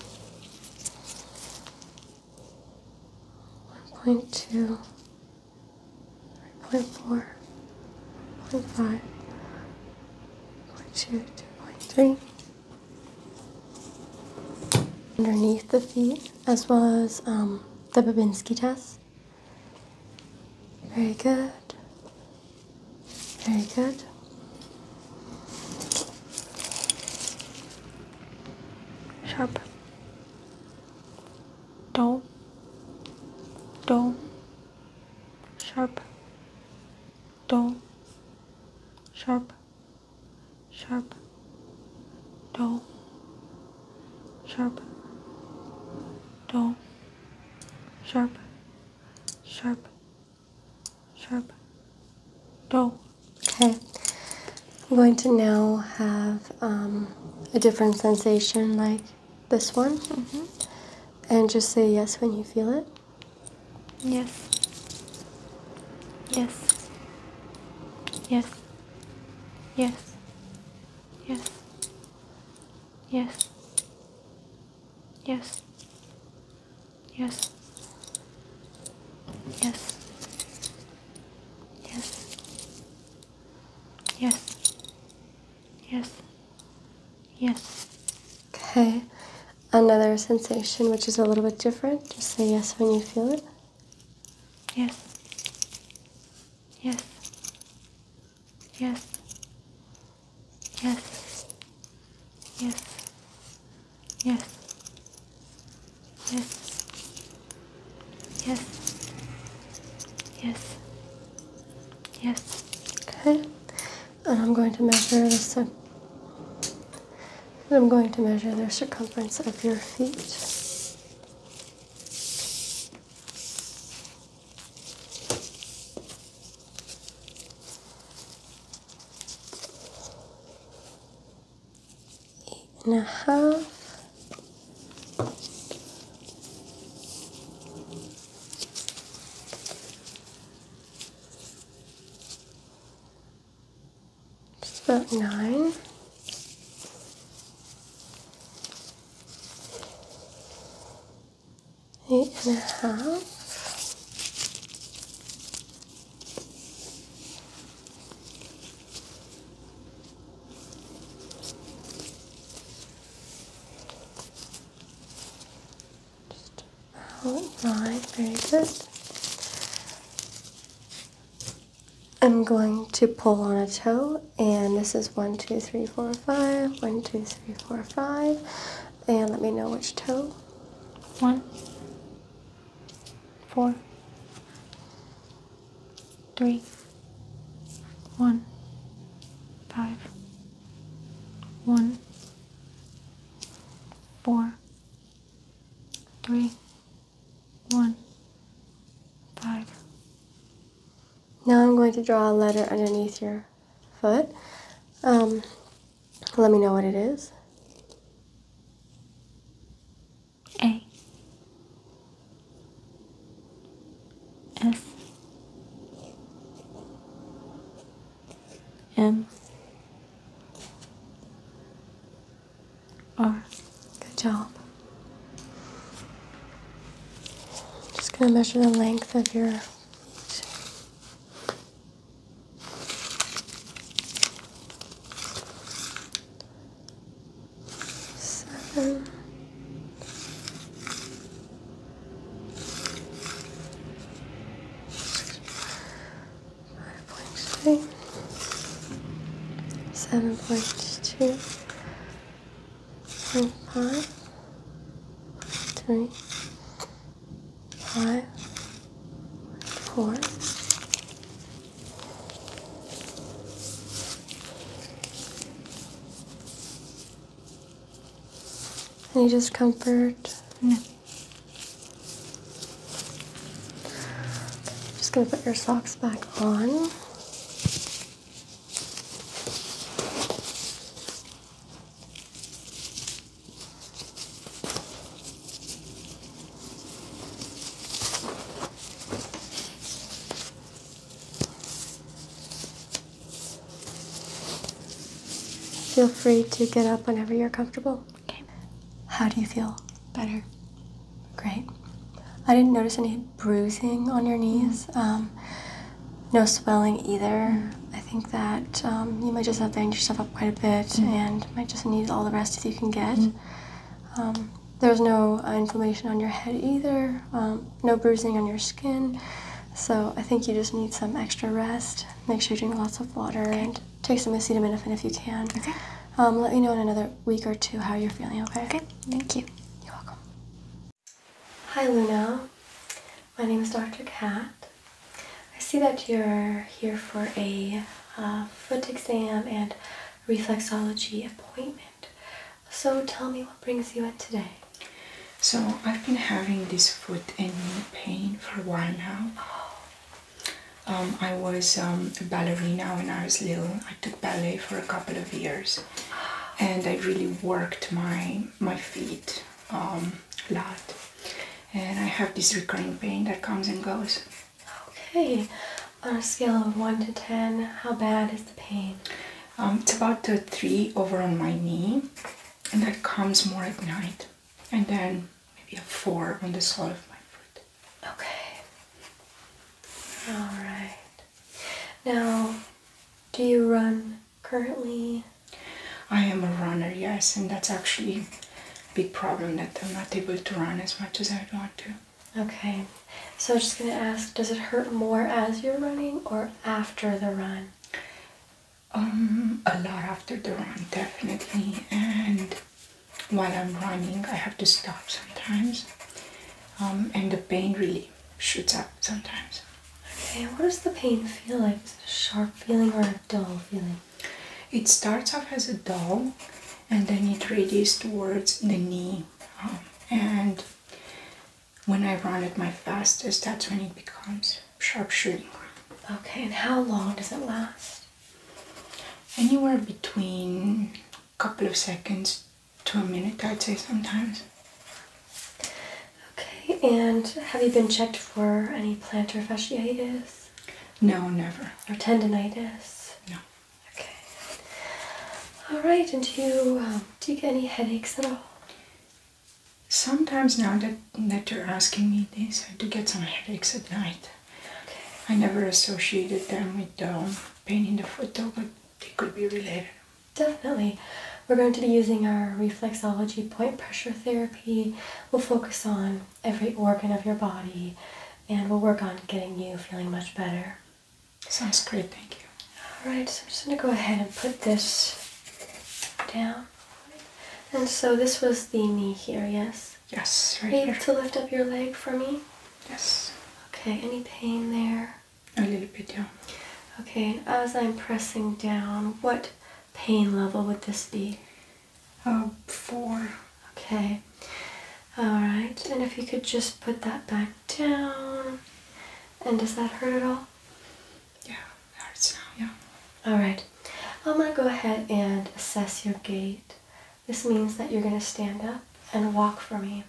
one point two, three point four, point five, point two, two point three. Underneath the feet, as well as um, the Babinski test. Very good. Very good. Sharp. Dull. Dull. Sharp. Dull. Sharp. Sharp. Dull sharp, dull, sharp, sharp, sharp, dull. Okay, I'm going to now have um, a different sensation like this one. Mm-hmm. And just say yes when you feel it. Yes. Yes. Yes. Yes. Yes. Yes. Yes. Yes. Yes. Yes. Yes. Yes. Okay. Another sensation which is a little bit different. Just say yes when you feel it. Yes. Yes. Yes. Yes. Yes. Yes. Yes. Yes. Yes. Yes. Good. And I'm going to measure this. And I'm going to measure the circumference of your feet. Eight and a half. Just about nine eight and a half. Just outline, very good. I'm going to pull on a toe, and this is one, two, three, four, five. One, two, three, four, five. And let me know which toe. One, four, three, one, five, one, four, three, one, five, now I'm going to draw a letter underneath your foot. Um, let me know what it is. A. S. M. R. Good job. Just going to measure the length of your seven. Five point three, seven point two, four, five, three, five, four. Any discomfort? No. just gonna put your socks back on. Feel free to get up whenever you're comfortable. Okay. How do you feel? Better. Great. I didn't notice any bruising on your knees. Mm. Um, no swelling either. Mm. I think that um, you might just have banged yourself up quite a bit mm. and might just need all the rest that you can get. Um, there's no uh, inflammation on your head either, no bruising on your skin. So I think you just need some extra rest. Make sure you drink lots of water and take some acetaminophen if you can. Okay. let me know in another week or two how you're feeling, okay? Okay, thank you. You're welcome. Hi Luna, my name is Dr. Cat. I see that you're here for a uh, foot exam and reflexology appointment. So tell me what brings you in today. So I've been having this foot and knee pain for a while now. Um, I was um, a ballerina when I was little. I took ballet for a couple of years and I really worked my my feet um, a lot and I have this recurring pain that comes and goes. Okay, on a scale of 1 to 10, how bad is the pain? Um, it's about a 3 over on my knee and that comes more at night and then maybe a 4 on the sole of my foot. Okay, alright. Now, do you run currently? I am a runner, yes, and that's actually a big problem that I'm not able to run as much as I'd want to. Okay, so just going to ask does it hurt more as you're running or after the run? Um, a lot after the run, definitely, and while I'm running, I have to stop sometimes. Um, and the pain really shoots up sometimes. Okay, what does the pain feel like? Is it a sharp feeling or a dull feeling? It starts off as a dull and then it radiates towards the knee. Um, and when I run at my fastest, that's when it becomes sharp shooting. Okay, and how long does it last? Anywhere between a couple of seconds to a minute, I'd say sometimes. Okay, and have you been checked for any plantar fasciitis? No, never. Or tendonitis? No. Okay. All right, and do you, um, do you get any headaches at all? Sometimes now that, that you're asking me this, I do get some headaches at night. Okay. I never associated them with um, pain in the foot though, but they could be related. Definitely. We're going to be using our reflexology point pressure therapy. We'll focus on every organ of your body and we'll work on getting you feeling much better. Sounds great, thank you. Alright, so I'm just going to go ahead and put this down. And so this was the knee here, yes? Yes, right Are you to lift up your leg for me? Yes. Okay, any pain there? A little bit, down. Okay, as I'm pressing down, what pain level would this be? Uh, four. Okay. Alright, and if you could just put that back down. And does that hurt at all? Yeah, it hurts now, yeah. Alright, I'm going to go ahead and assess your gait. This means that you're going to stand up and walk for me,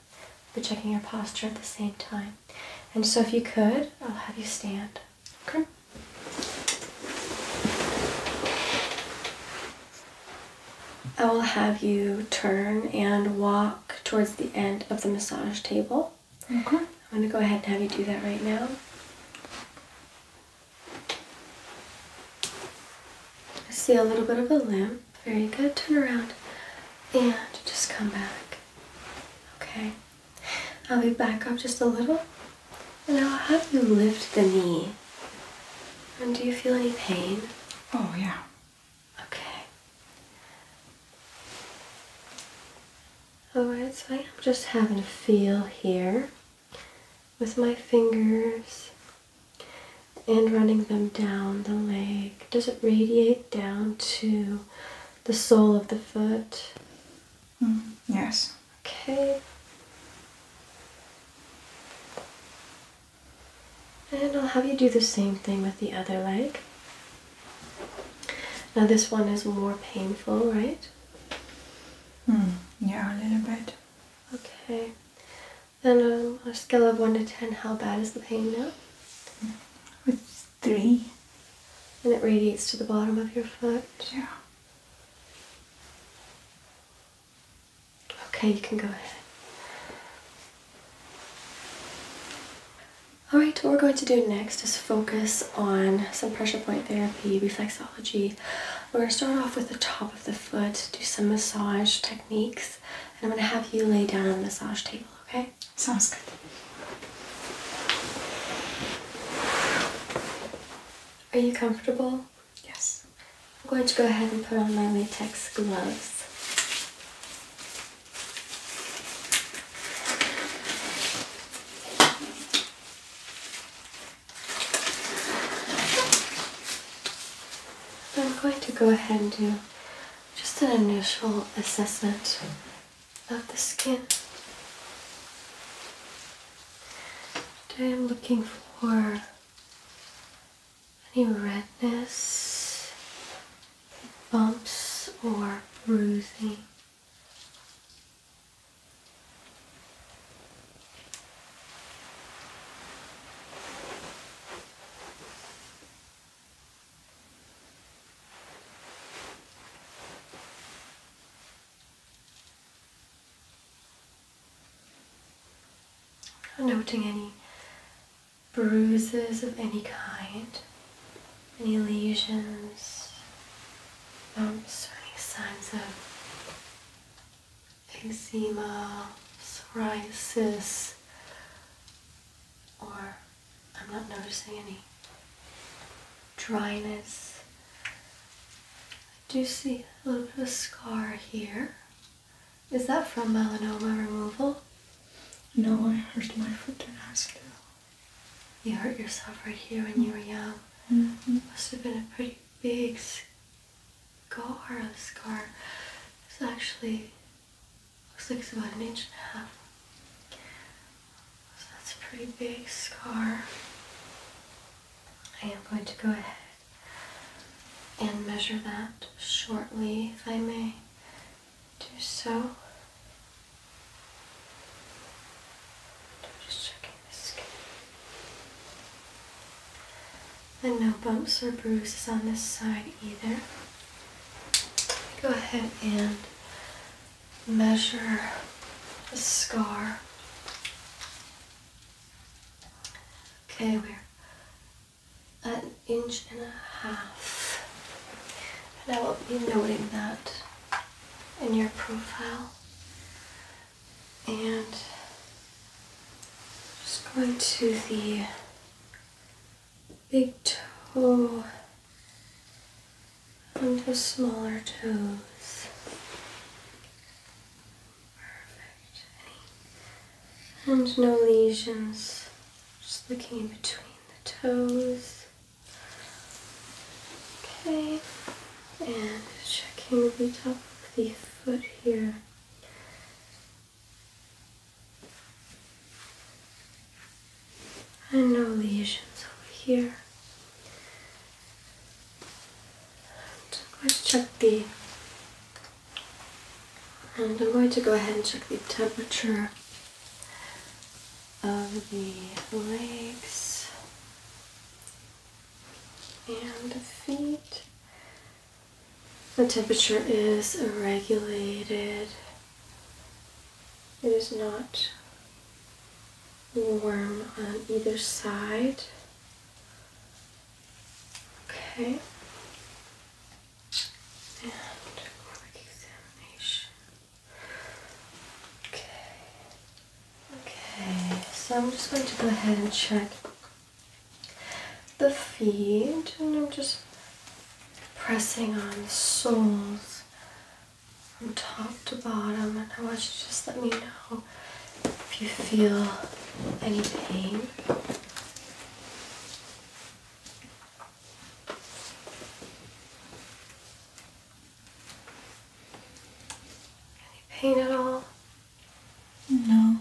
but checking your posture at the same time. And so if you could, I'll have you stand. Okay. I will have you turn and walk towards the end of the massage table. Okay. I'm going to go ahead and have you do that right now. I see a little bit of a limp. Very good. Turn around and just come back. Okay. I'll be back up just a little and I'll have you lift the knee. And do you feel any pain? Oh, yeah. Okay. Alright, so I'm just having a feel here with my fingers and running them down the leg does it radiate down to the sole of the foot? Mm, yes. Okay. And I'll have you do the same thing with the other leg. Now, this one is more painful, right? Mm, yeah, a little bit. Okay. Then um, a scale of 1 to 10, how bad is the pain now? three. And it radiates to the bottom of your foot. Yeah. Okay, you can go ahead. Alright, what we're going to do next is focus on some pressure point therapy, reflexology. We're going to start off with the top of the foot, do some massage techniques, and I'm going to have you lay down on the massage table, okay? sounds good. Are you comfortable? Yes. I'm going to go ahead and put on my latex gloves. I'm going to go ahead and do just an initial assessment of the skin. Today I'm looking for any redness, bumps, or bruising noting any bruises of any kind, any lesions, bumps, or any signs of eczema, psoriasis, or I'm not noticing any dryness. I do see a little bit of scar here. Is that from melanoma removal? No, I hurt my foot in accident. You hurt yourself right here when you were young. Mm Must have been a pretty big scar. scar. It's actually Looks like it's about an inch and a half. So that's a pretty big scar. I am going to go ahead and measure that shortly, if I may do so. Just checking the skin. And no bumps or bruises on this side either. Go ahead and measure the scar. Okay, we're an inch and a half. And I will be noting that in your profile. And just going to the big toe and the smaller toes. Perfect. And no lesions. Just looking in between the toes. Okay. And checking the top of the foot here. And no lesions over here. And let's check the. And I'm going to go ahead and check the temperature of the legs and the feet. The temperature is regulated it is not warm on either side. Okay. And examination. Okay. Okay, so I'm just going to go ahead and check the feet and I'm just pressing on the soles from top to bottom and I want you to just let me know if you feel any pain. Any pain at all? No.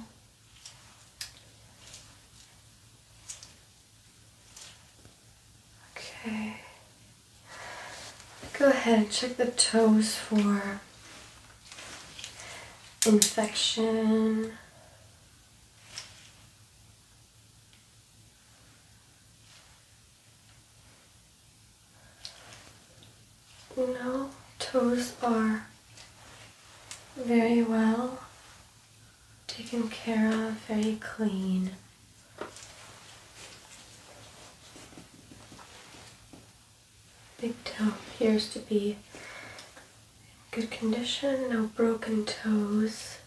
Okay. Go ahead and check the toes for infection. No, toes are very well taken care of, very clean. Big toe appears to be in good condition, no broken toes.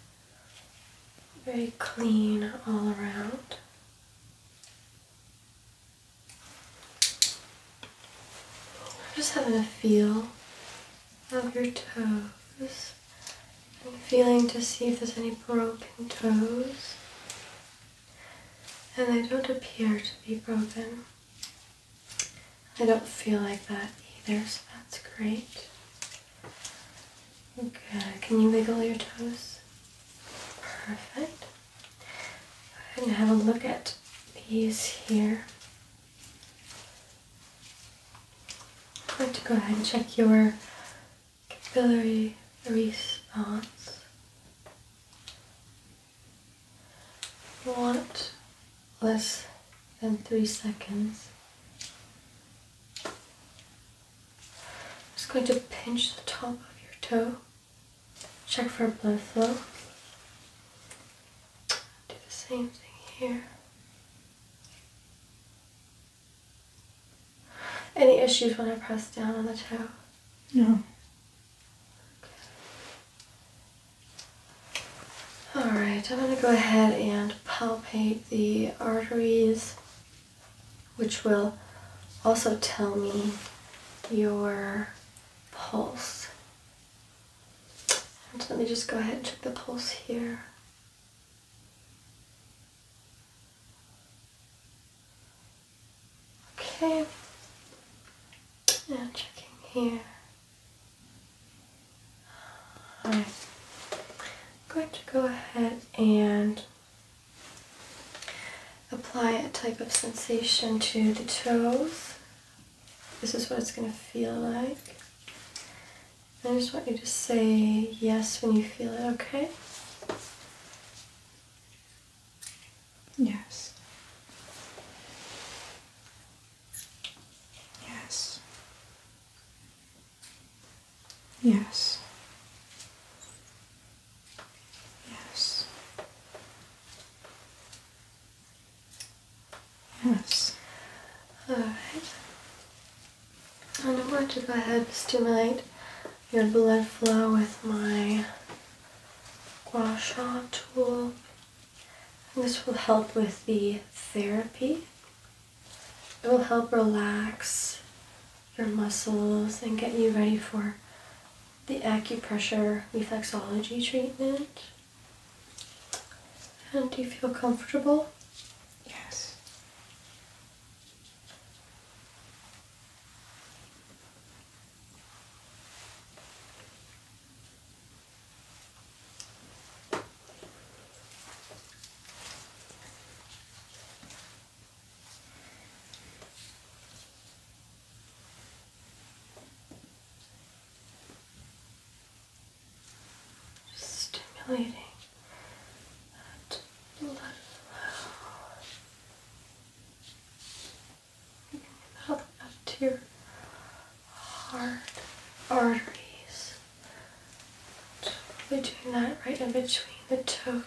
Very clean all around. I'm Just having a feel of your toes. I'm feeling to see if there's any broken toes. And they don't appear to be broken. I don't feel like that either, so that's great. Okay, can you wiggle your toes? Perfect. I'm gonna have a look at these here. i am going to go ahead and check your capillary response. What, less than three seconds. just going to pinch the top of your toe, check for blood flow. Do the same thing here. Any issues when I press down on the toe? No. Alright, I'm going to go ahead and palpate the arteries, which will also tell me your pulse. let me just go ahead and check the pulse here. Okay, now checking here. I'm going to go ahead and apply a type of sensation to the toes. This is what it's going to feel like. I just want you to say yes when you feel it, okay? Yes. Yes. Yes. Yes. Yes. All right. And I going to go ahead and stimulate your blood flow with my gua sha tool. this will help with the therapy. It will help relax your muscles and get you ready for the acupressure reflexology treatment. do you feel comfortable? Yes. Stimulating that blood flow out, to your heart arteries. We're doing that right in between the toes.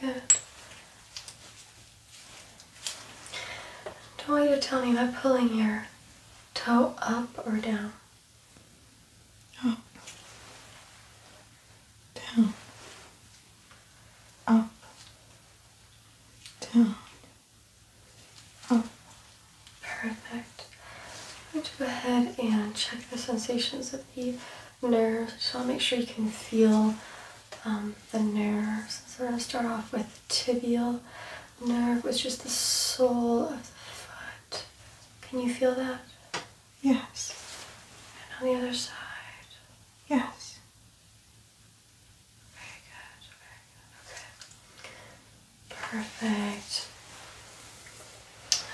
Very good. I want you to tell me about pulling your toe up or down. Up. Down. Up. Down. Oh, perfect. I'm going to go ahead and check the sensations of the nerves. Just want to make sure you can feel um, the nerves. So we're going to start off with tibial nerve, which is the sole of the foot. Can you feel that? Yes. And on the other side? Yes. Very good, okay. Perfect.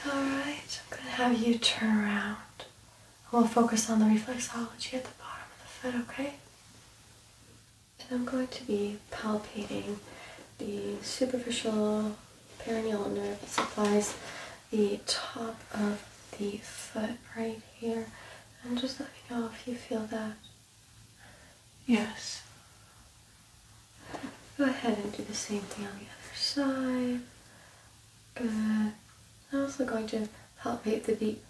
Alright, I'm going to have you turn around. and We'll focus on the reflexology at the bottom of the foot, okay? And I'm going to be palpating the superficial perineal nerve that supplies the top of the foot right here. And just let me know if you feel that Yes. Go ahead and do the same thing on the other side. Good. I'm also going to palpate the deep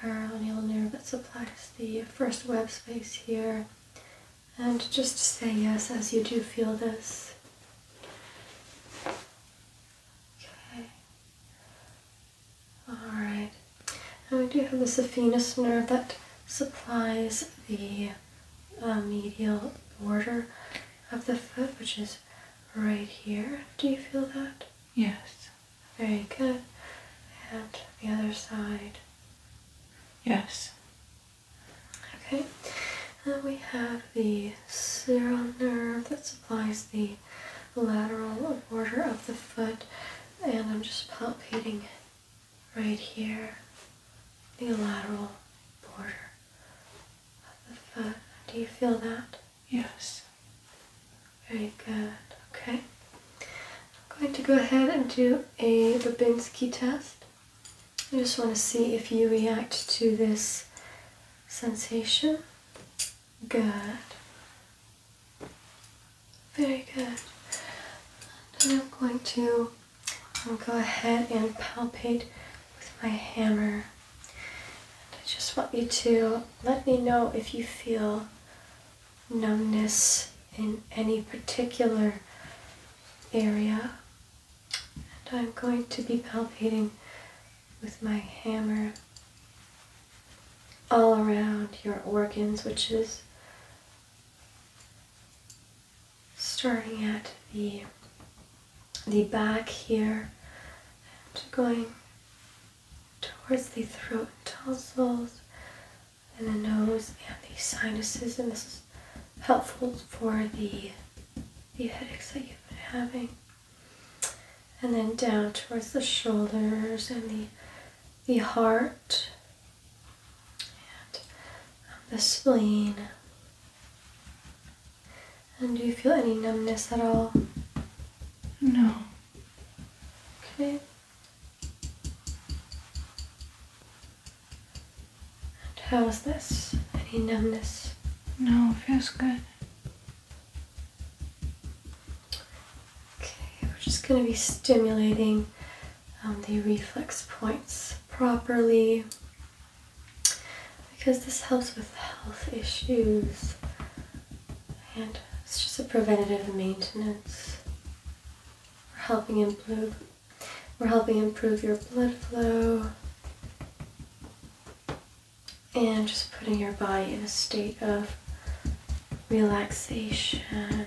peroneal nerve that supplies the first web space here. And just say yes as you do feel this. Okay. Alright, and we do have the saphenous nerve that supplies the uh, medial border of the foot, which is right here. Do you feel that? Yes. Very good. And the other side? Yes. Okay, and we have the cerebral nerve that supplies the lateral border of the foot, and I'm just palpating right here, the lateral border of the foot. Do you feel that? Yes. Very good. Okay. I'm going to go ahead and do a Babinski test. I just want to see if you react to this sensation. Good. Very good. I'm going to um, go ahead and palpate with my hammer. And I just want you to let me know if you feel numbness in any particular area. And I'm going to be palpating with my hammer all around your organs, which is starting at the the back here and going towards the throat and tonsils and the nose and the sinuses and this is helpful for the the headaches that you've been having and then down towards the shoulders and the the heart and um, the spleen. And do you feel any numbness at all? No. Okay. how is this? Any numbness? No, feels good. Okay, we're just going to be stimulating um, the reflex points properly because this helps with health issues and it's just a preventative maintenance. We're helping improve, we're helping improve your blood flow and just putting your body in a state of relaxation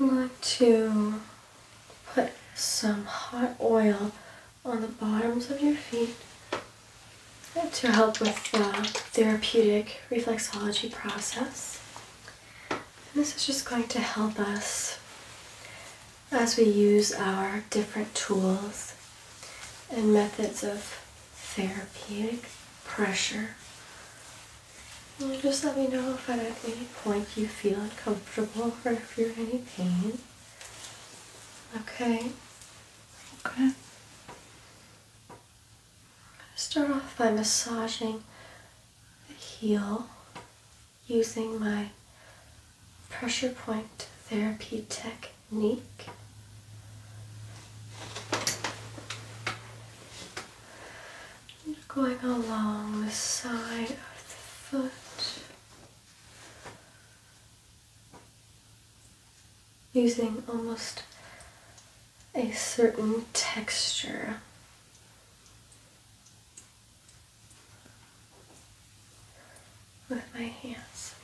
I'm going to put some hot oil on the bottoms of your feet to help with the therapeutic reflexology process. this is just going to help us as we use our different tools and methods of therapeutic pressure just let me know if at any point you feel uncomfortable or if you're in any pain. Okay. Okay. I'm gonna start off by massaging the heel using my pressure point therapy technique going along the side of the foot, using almost a certain texture. With my hands.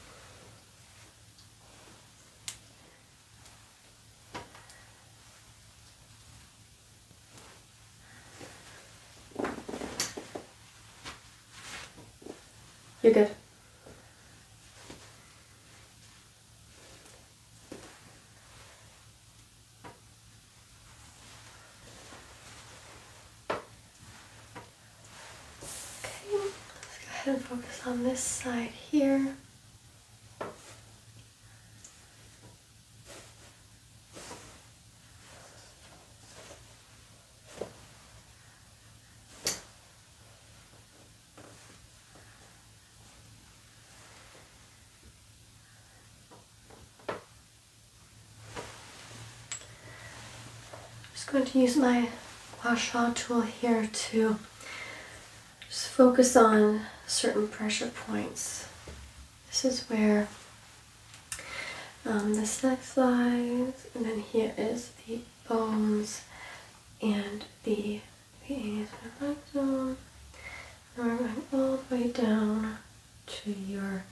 You're good. Okay, let's go ahead and focus on this side here. I'm just going to use my wash tool here to just focus on certain pressure points. This is where the sex lies, and then here is the bones and the the zone. we're going all the way down to your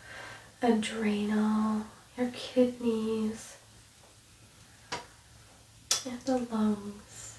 adrenal, your kidneys, and the lungs.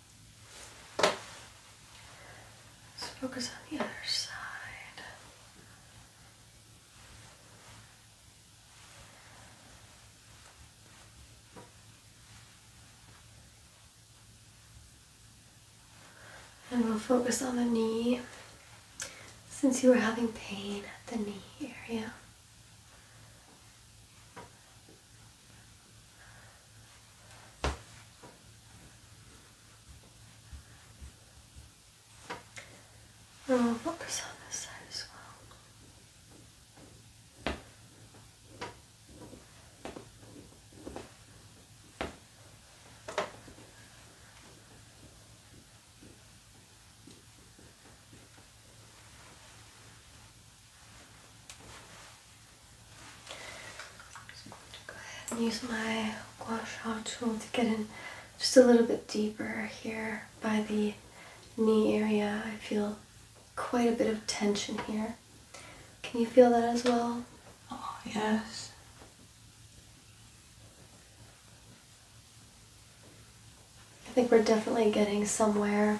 Let's focus on the other side. And we'll focus on the knee since you were having pain at the knee area. And oh, we'll focus on this side as well. Just going to go ahead and use my gua tool to get in just a little bit deeper here by the knee area. I feel quite a bit of tension here. Can you feel that as well? Oh, yes. I think we're definitely getting somewhere.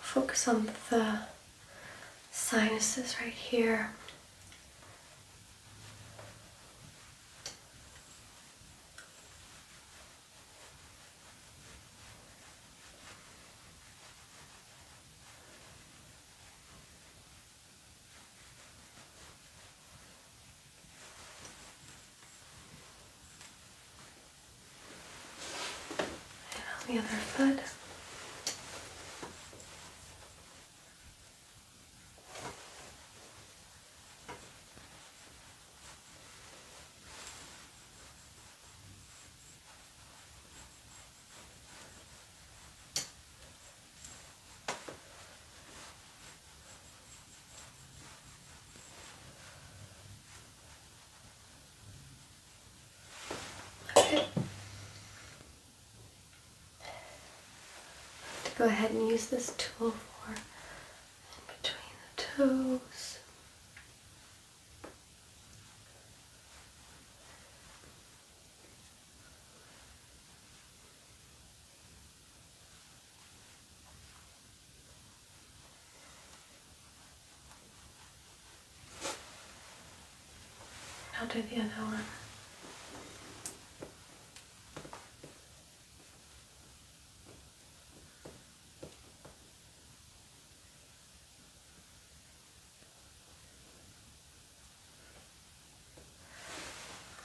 Focus on the sinuses right here. And on the other foot. To Go ahead and use this tool for in between the toes. I'll do the other one.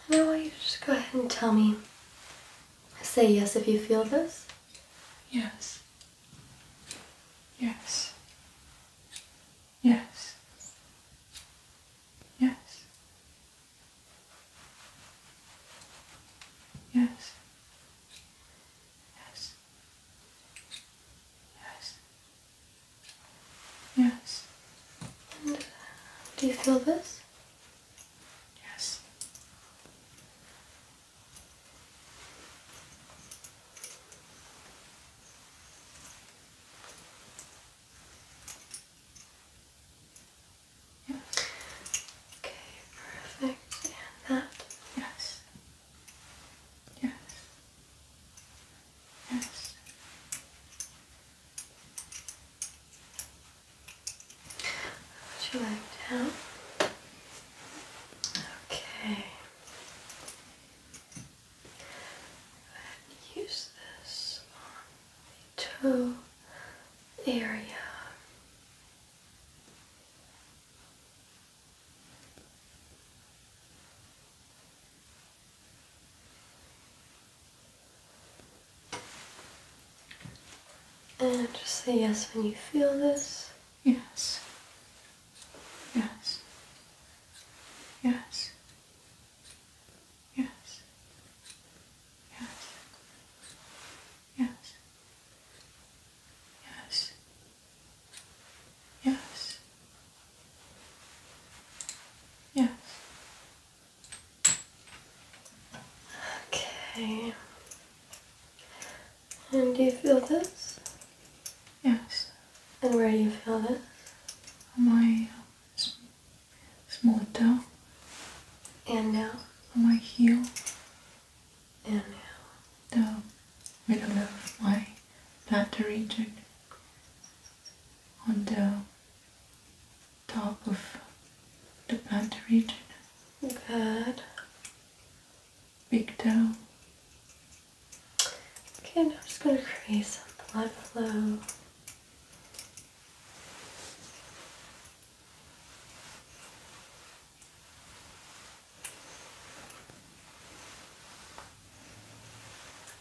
And I want you to just go ahead and tell me. Say yes if you feel this. Yes. Yes. Yes. Yes. Yes. Yes. Yes. Yes. do you feel this? Yes. Yes. Okay, perfect. And that? Yes. Yes. Yes. Would you like down? Okay. use this on toe area. And just say yes when you feel this. Yes. Yes. Yes. Yes. Yes. Yes. Yes. Yes. Yes. Okay. And do you feel this? Yes. And where do you feel this? On my small toe. And now? On my heel. And now? The middle of my platter region on the top of the plantar region. Good. Big toe. Okay, now I'm just going to create some blood flow.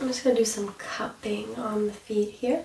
I'm just going to do some cupping on the feet here.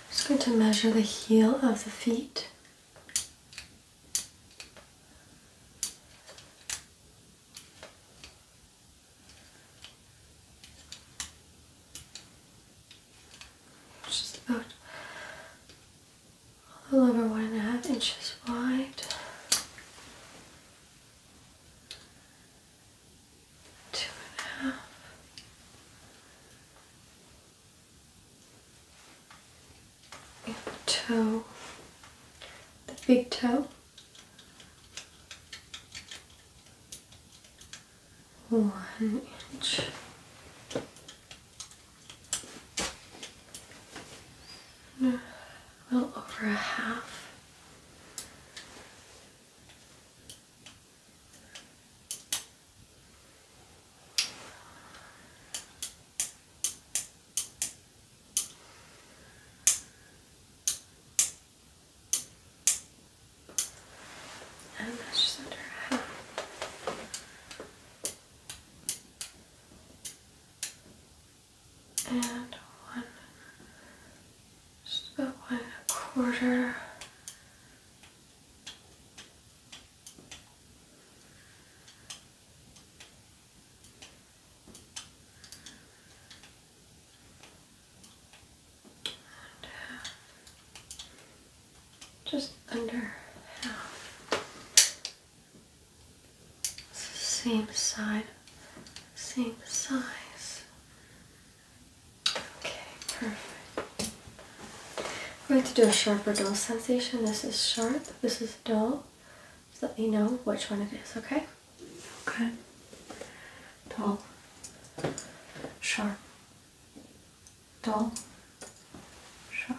I'm just going to measure the heel of the feet. Just about a little over one and a half inches wide, two and a half. toe, the big toe, one inch, a little over a half. And just under half and one, just about one and a quarter. Uh, just under half. Same side, same size. Okay, perfect. I'm going to do a sharper dull sensation. This is sharp, this is dull. Just let me know which one it is, okay? Okay. Dull. Sharp. Dull. Sharp.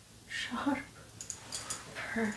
sharp. Perfect.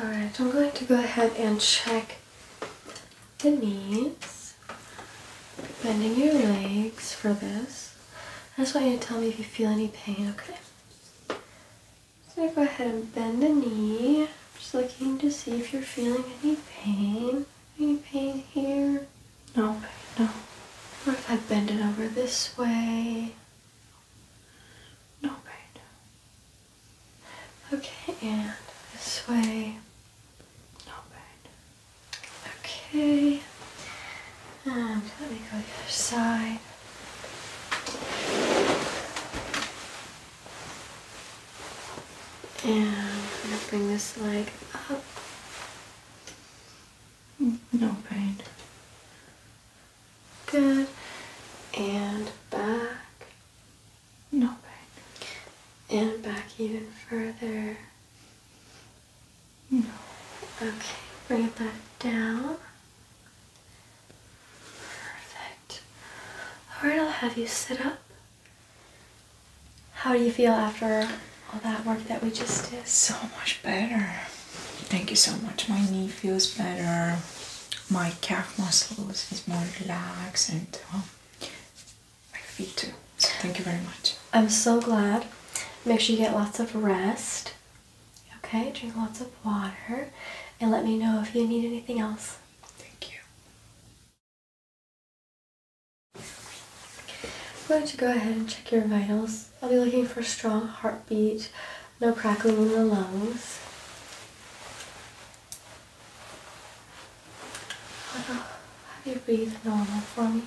Alright, I'm going to go ahead and check the knees, bending your legs for this. I just want you to tell me if you feel any pain, okay? So go ahead and bend the knee. I'm just looking to see if you're feeling any pain. Any pain here? No pain, no. Or if I bend it over this way? No pain. Okay, and this way? No pain. Okay. And let me go the other side. And bring this leg up. No pain. Good. And back. No pain. And back even further. No. Okay, bring it back down. Perfect. Alright, I'll have you sit up. How do you feel after all that work that we just did? So much better. Thank you so much. My knee feels better. My calf muscles is more relaxed and um, my feet too. thank you very much. I'm so glad. Make sure you get lots of rest. Okay, drink lots of water and let me know if you need anything else. Thank you. I'm going to go ahead and check your vitals. I'll be looking for a strong heartbeat, no crackling in the lungs. Have you breathe normal for me?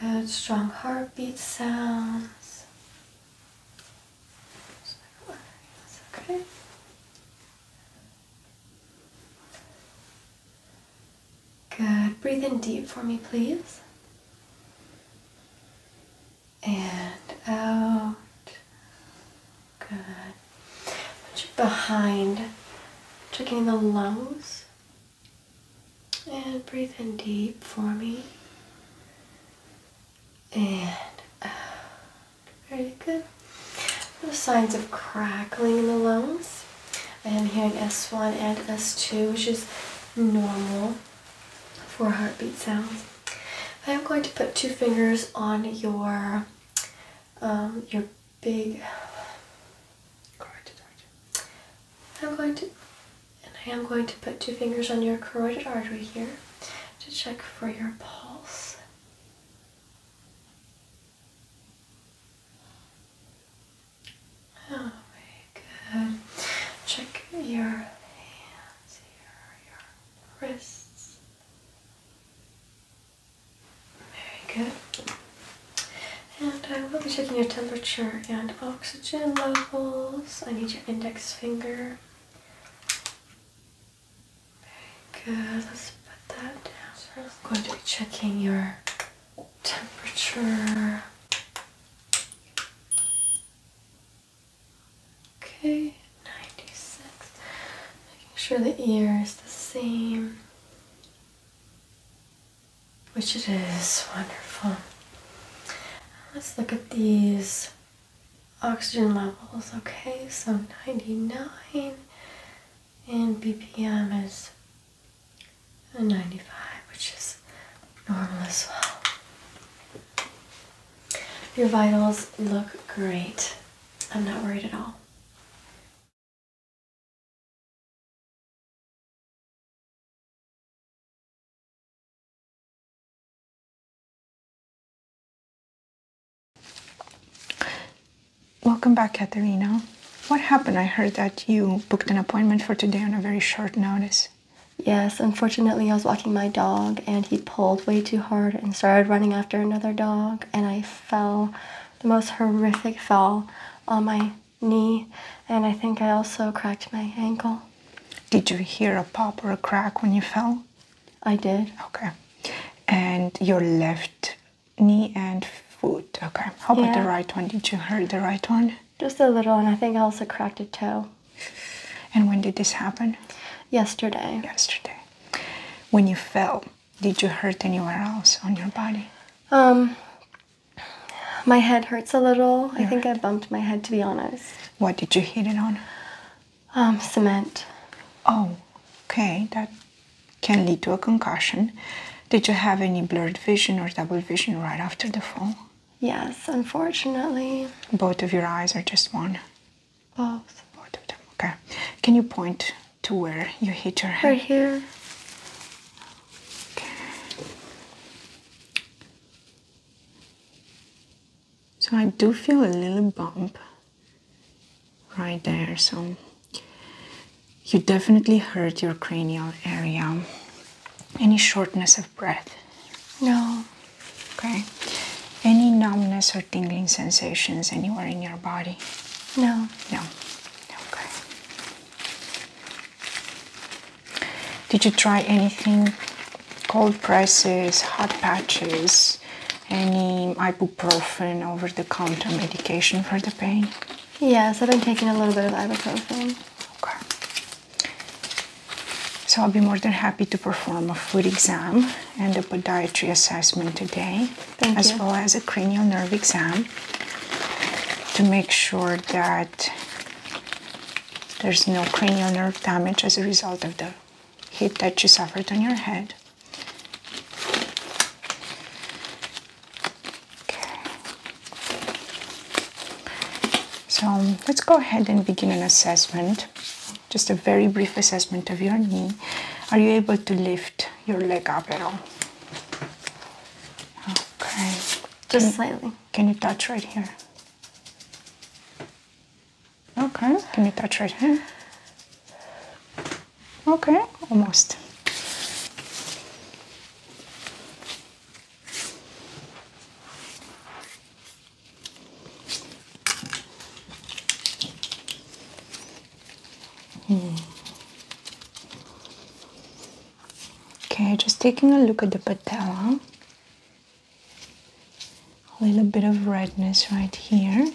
Good, strong heartbeat sounds. okay. Good. Breathe in deep for me, please. And out. Good. behind, checking the lungs. And breathe in deep for me. And uh, Very good. No signs of crackling in the lungs. I am hearing S1 and S2, which is normal for heartbeat sounds. I am going to put two fingers on your um, your big carotid artery. I'm going to, and I am going to put two fingers on your carotid artery here to check for your pulse. Oh, very good. Check your hands here, your wrists. Very good. And I will be checking your temperature and oxygen levels. I need your index finger. Very good. Let's put that down. I'm going to be checking your temperature. Okay, 96. Making sure the ear is the same which it is wonderful. Let's look at these oxygen levels. Okay, so 99 and BPM is 95, which is normal as well. Your vitals look great. I'm not worried at all. Welcome back, Katerina. What happened? I heard that you booked an appointment for today on a very short notice. Yes, unfortunately, I was walking my dog and he pulled way too hard and started running after another dog, and I fell the most horrific fall on my knee, and I think I also cracked my ankle. Did you hear a pop or a crack when you fell? I did. Okay. And your left knee and foot. Okay. How about the right one? Did you hurt the right one? Just a little, and I think I also cracked a toe. And when did this happen? Yesterday. Yesterday. When you fell, did you hurt anywhere else on your body? Um, my head hurts a little. I think I bumped my head, to be honest. What did you hit it on? Um, cement. Oh, okay. That can lead to a concussion. Did you have any blurred vision or double vision right after the fall? Yes, unfortunately. Both of your eyes or just one? Both. Both of them, okay. Can you point to where you hit your head? Right here. So I do feel a little bump right there. So you definitely hurt your cranial area. Any shortness of breath? No. Okay. Any numbness or tingling sensations anywhere in your body? No. No. Okay. Did you try anything? Cold presses, hot patches, any ibuprofen over the counter medication for the pain? Yes, I've been taking a little bit of ibuprofen. Okay. So I'll be more than happy to perform a foot exam and a podiatry assessment today, as well as a cranial nerve exam to make sure that there's no cranial nerve damage as a result of the hit that you suffered on your head. Okay. So let's go ahead and begin an assessment. Just a very brief assessment of your knee. Are you able to lift your leg up at all? Okay. Just slightly. Can you touch right here? Okay. Can you touch right here? Okay, almost. Hmm. Okay, just taking a look at the patella. A little bit of redness right here.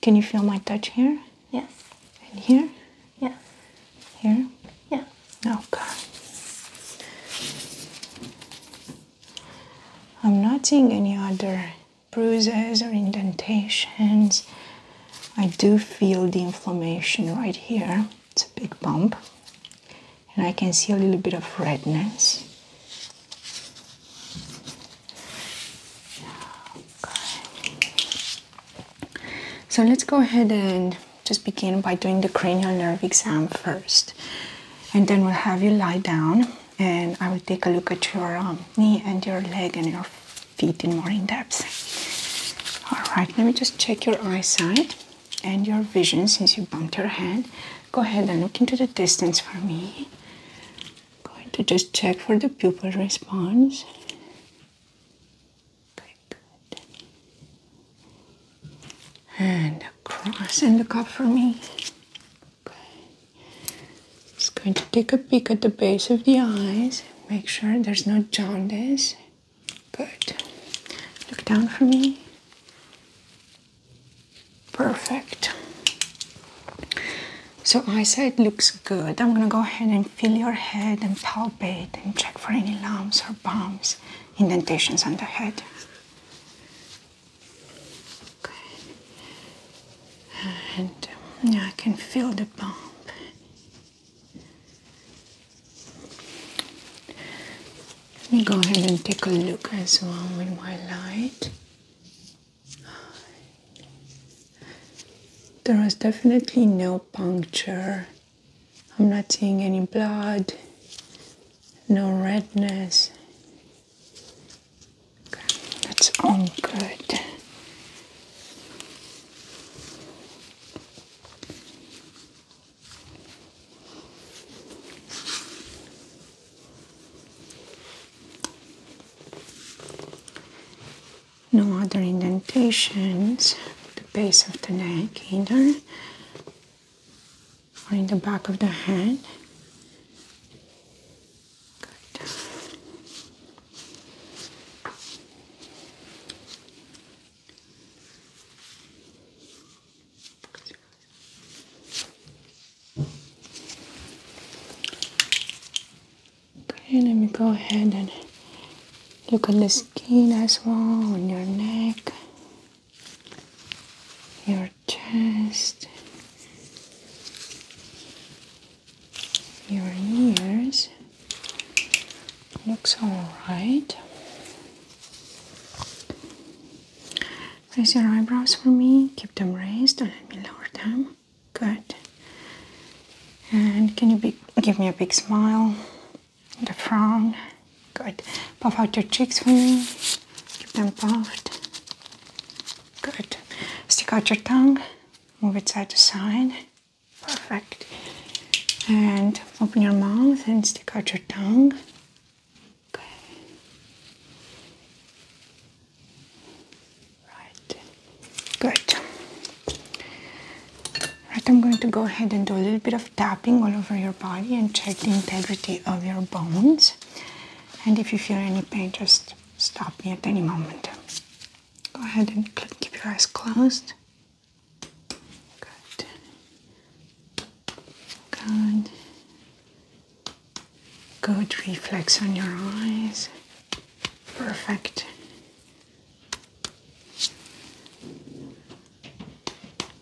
Can you feel my touch here? Yes. And here? Yeah. Here? Yeah. Okay. I'm not seeing any other bruises or indentations. I do feel the inflammation right here. It's a big bump, and I can see a little bit of redness. Okay. So let's go ahead and just begin by doing the cranial nerve exam first, and then we'll have you lie down, and I will take a look at your um, knee and your leg and your feet in more in depth. All right, let me just check your eyesight and your vision since you bumped your head. Go ahead and look into the distance for me. Going to just check for the pupil response. Very good. And across and look up for me. Good. Just going to take a peek at the base of the eyes. Make sure there's no jaundice. Good. Look down for me. Perfect. So I said looks good. I'm gonna go ahead and feel your head and palpate and check for any lumps or bumps, indentations on the head. Okay. And yeah, I can feel the bump. Let me go ahead and take a look as well with my light. There was definitely no puncture. I'm not seeing any blood, no redness. that's all good. No other indentations at the base of the neck either or in the back of the head. Good. Okay, let me go ahead and look at the skin as well on your neck, your chest, your ears. Looks alright. Raise your eyebrows for me, keep them raised, Don't let me lower them. Good. And can you give me a big smile? The frown. Good. Puff out your cheeks for me. Keep them puffed. Good. Stick out your tongue. Move it side to side. Perfect. And open your mouth and stick out your tongue. Right. Good. Right, I'm going to go ahead and do a little bit of tapping all over your body and check the integrity of your bones. And if you feel any pain, just stop me at any moment. Go ahead and keep your eyes closed. Good. Good. Good reflex on your eyes. Perfect.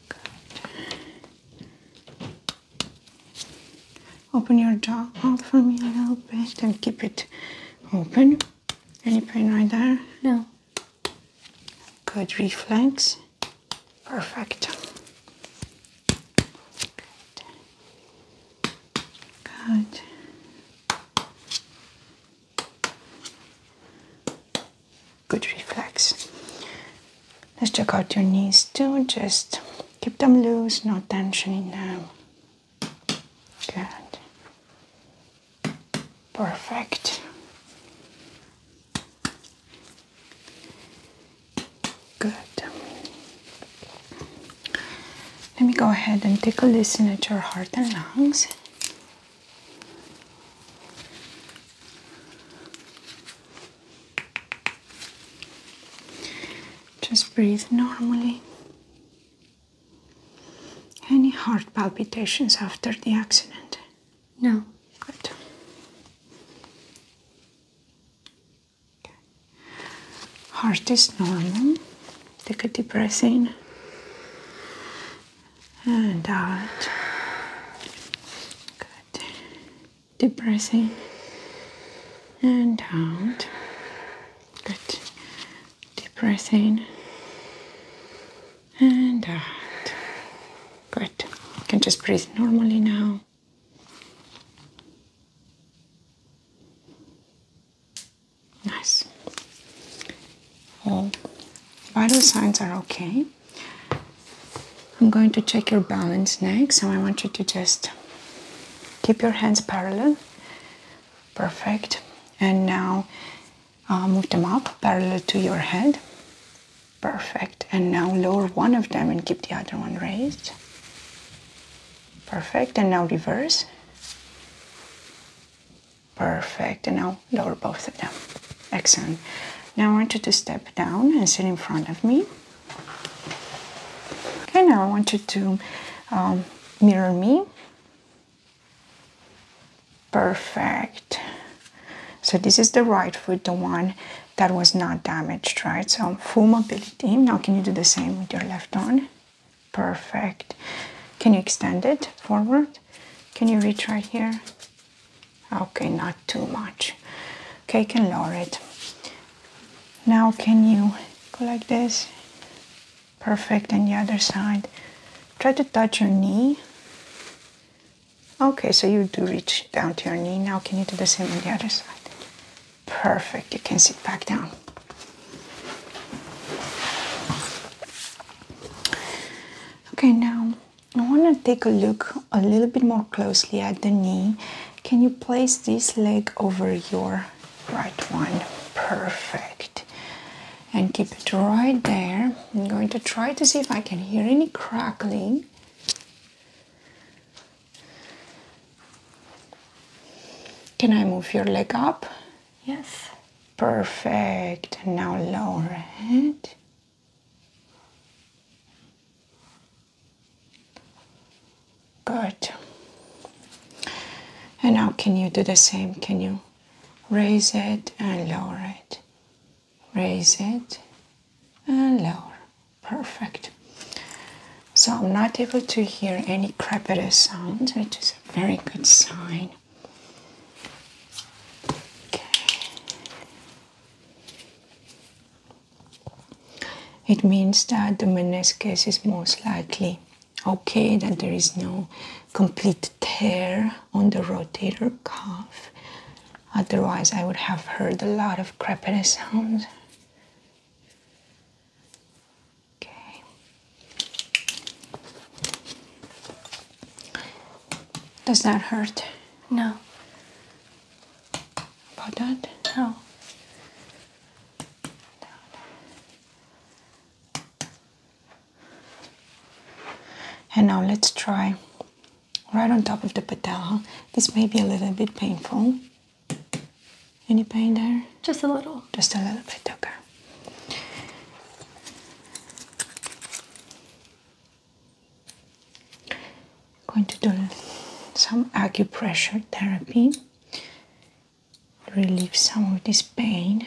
Good. Open your jaw for me a little bit and keep it open. Any pain right there? No. Good reflex. Perfect. Good. Good. reflex. Let's check out your knees too. Just keep them loose, no tension in them. Good. Perfect. Good. Let me go ahead and take a listen at your heart and lungs. Just breathe normally. Any heart palpitations after the accident? No. Good. Okay. Heart is normal. Take a depressing and out. Good. Deep and out. Good. Depressing and uh, out. Good. can just breathe normally now. Nice. All vital signs are okay. I'm going to check your balance next, so I want you to just keep your hands parallel. Perfect. And now uh, move them up parallel to your head. Perfect. And now lower one of them and keep the other one raised. Perfect. And now reverse. Perfect. And now lower both of them. Excellent. Now I want you to step down and sit in front of me. Okay, now I want you to um, mirror me Perfect. So this is the right foot, the one that was not damaged, right? So full mobility. Now can you do the same with your left arm? Perfect. Can you extend it forward? Can you reach right here? Okay, not too much. Okay, can lower it. Now can you go like this? Perfect, and the other side. Try to touch your knee Okay, so you do reach down to your knee now. Can you do the same on the other side? Perfect. You can sit back down. Okay, now I want to take a look a little bit more closely at the knee. Can you place this leg over your right one? Perfect and keep it right there. I'm going to try to see if I can hear any crackling. Can I move your leg up? Yes. Perfect. Now lower it. Good. And now can you do the same? Can you raise it and lower it? raise it and lower perfect so i'm not able to hear any crepitus sounds, which is a very good sign it means that the meniscus is most likely okay that there is no complete tear on the rotator cuff Otherwise, I would have heard a lot of crepity sounds. Okay. Does that hurt? No. About that? No. And now let's try right on top of the patella. This may be a little bit painful. Any pain there? Just a little. Just a little bit, okay. going to do some acupressure therapy relieve some of this pain.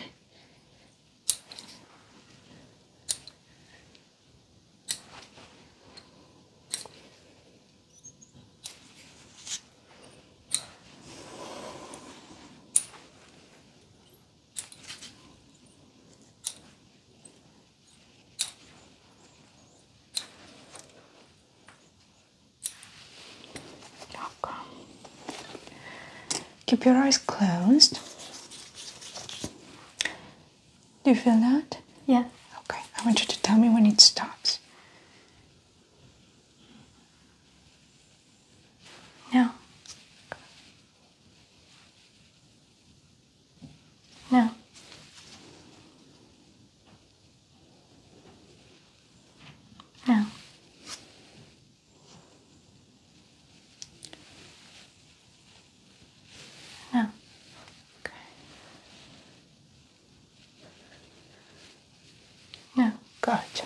Okay. Keep your eyes closed. Do you feel that? Yeah. Okay, I want you to tell me when it stops. No. No. No. No. Oh, okay. No. Oh, gotcha.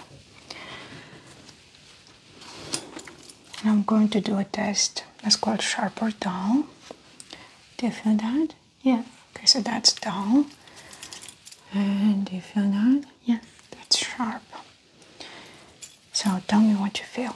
And I'm going to do a test that's called sharp or dull. Do you feel that? Yeah. Okay, so that's dull. And do you feel that? Yeah. That's sharp. So tell me what you feel.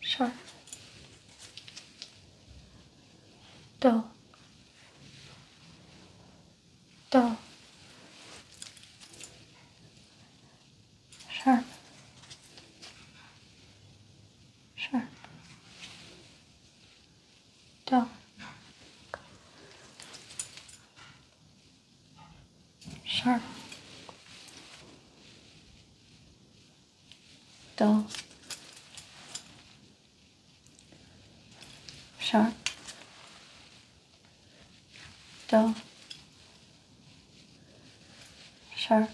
sharp, dull, dull, sharp, sharp, dull. sharp dull, sharp, dull, sharp,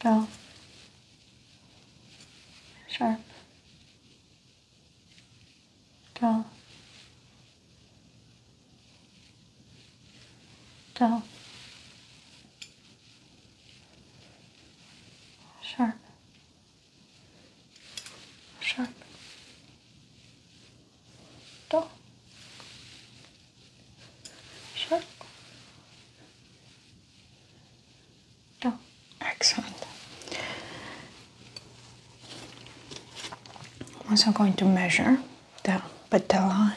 dull, sharp, dull, dull sharp, sharp, dull, sharp, dull. Excellent. I'm also going to measure the patella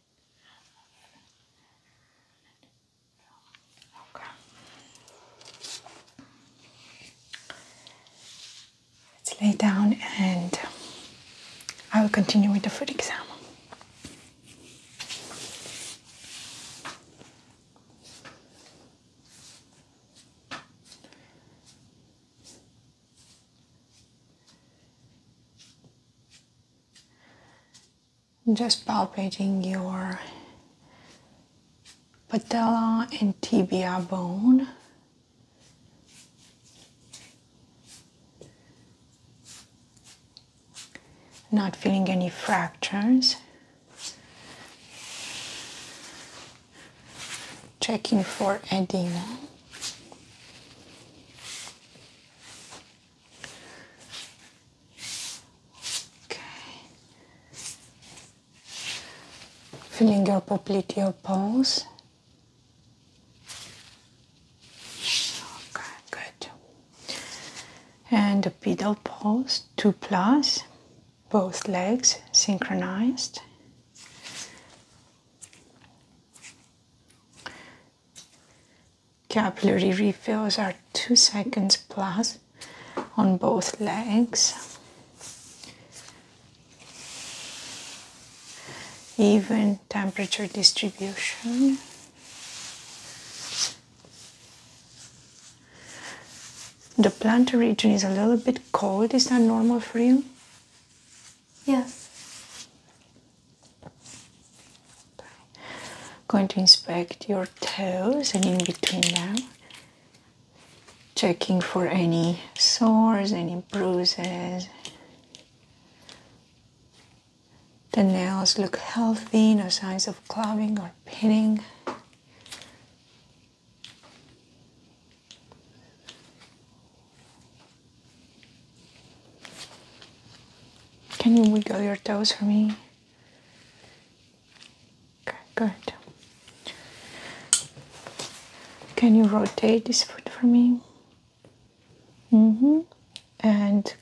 Let's lay down and I will continue with the foot exam just palpating your patella and tibia bone. Not feeling any fractures. Checking for edema. Okay. Feeling your popliteal pulse. Okay, good. And the pedal pulse, two plus, both legs synchronized capillary refills are two seconds plus on both legs. Even temperature distribution. The plantar region is a little bit cold. Is that normal for you? Yes. Okay. Going to inspect your toes and in between them, checking for any sores, any bruises. The nails look healthy, no signs of clubbing or pitting. Can you wiggle your toes for me? Okay, good. Can you rotate this foot for me? Mm-hmm. And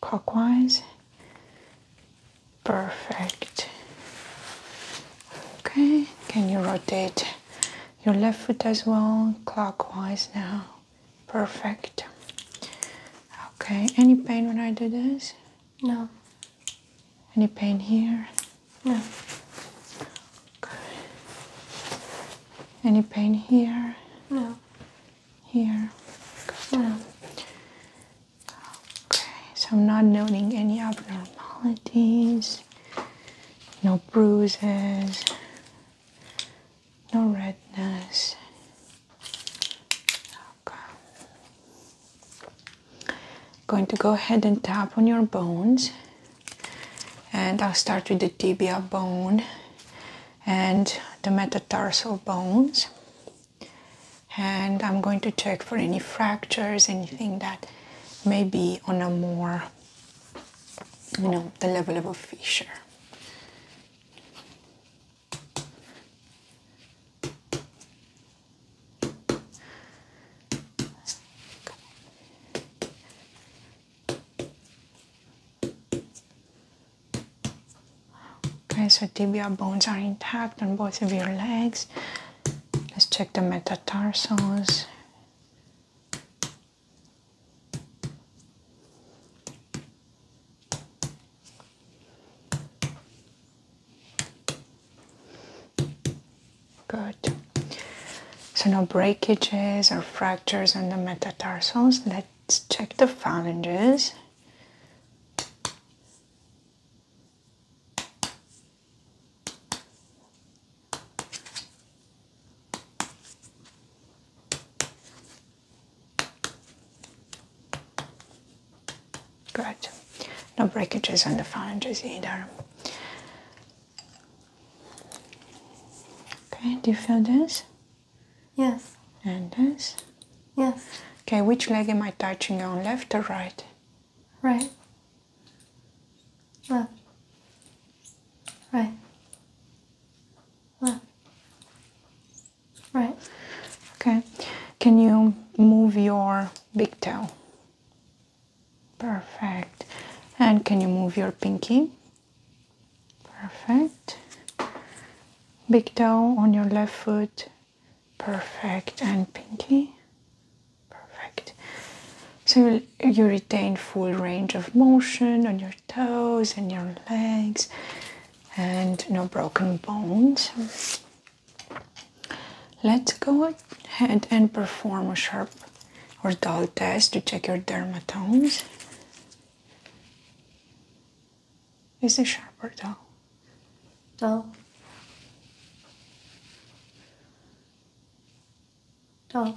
clockwise. Perfect. Okay, can you rotate your left foot as well? Clockwise now. Perfect. Okay, any pain when I do this? No. Any pain here? No. Okay. Any pain here? No. Here? No. Okay, so I'm not noting any abnormalities, no bruises, no redness. Going to go ahead and tap on your bones, and I'll start with the tibia bone and the metatarsal bones. And I'm going to check for any fractures, anything that may be on a more, you know, the level of a fissure. Okay, so tibial bones are intact on both of your legs. Let's check the metatarsals. Good. So no breakages or fractures on the metatarsals. Let's check the phalanges. Good. No breakages on the phalanges either. Okay, do you feel this? Yes. And this? Yes. Okay, which leg am I touching on, left or right? Right. Left. Right. Left. Right. Okay. Can you move your big toe? Perfect. And can you move your pinky? Perfect. Big toe on your left foot. Perfect. And pinky. Perfect. So you retain full range of motion on your toes and your legs and no broken bones. Let's go ahead and perform a sharp or dull test to check your dermatomes. Is it sharp or dull? Dull. Dull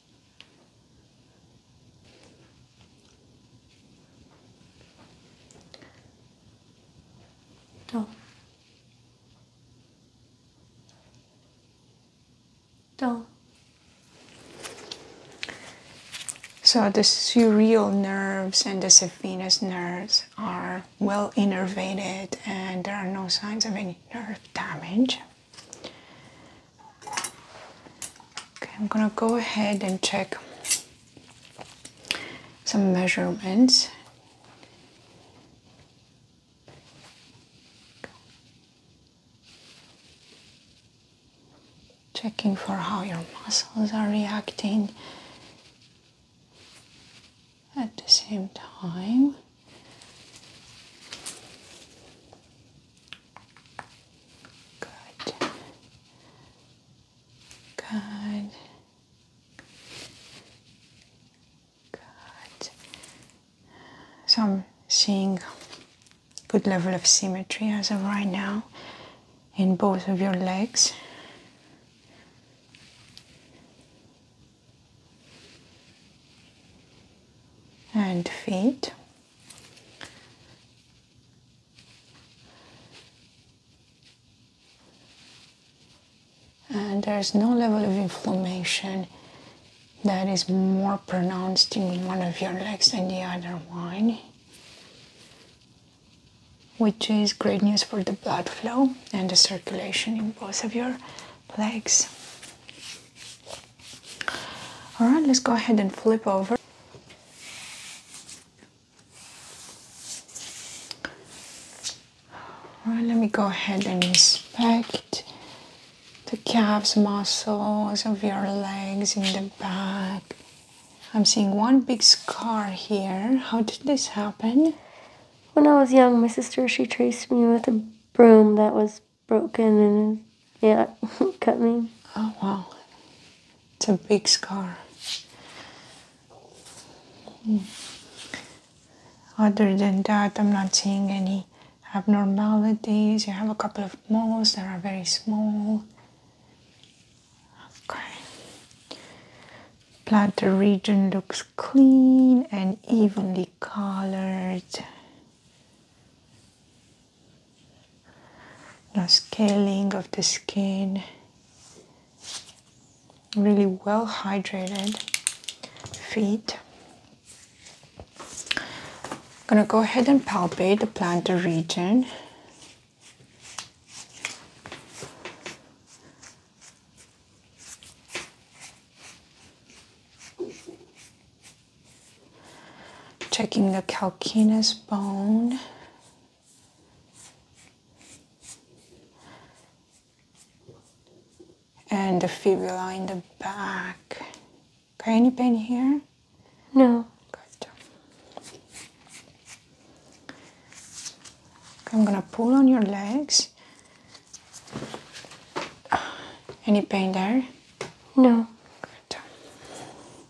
do. Oh. Oh. So the surreal nerves and the sphenoid nerves are well innervated and there are no signs of any nerve damage. Okay, I'm gonna go ahead and check some measurements. Checking for how your muscles are reacting at the same time. Good. Good. Good. So I'm seeing good level of symmetry as of right now in both of your legs. and feet and there is no level of inflammation that is more pronounced in one of your legs than the other one, which is great news for the blood flow and the circulation in both of your legs all right let's go ahead and flip over all right let me go ahead and inspect the calves muscles of your legs in the back i'm seeing one big scar here how did this happen when i was young my sister she traced me with a broom that was broken and yeah, cut me. Oh wow, it's a big scar. Hmm. Other than that, I'm not seeing any abnormalities. You have a couple of moles that are very small. Okay. Bladder region looks clean and evenly colored now scaling of the skin really well hydrated feet I'm gonna go ahead and palpate the plantar region Checking the calcaneus bone. And the fibula in the back. any pain here? No. Good. I'm gonna pull on your legs. Any pain there? No. Good.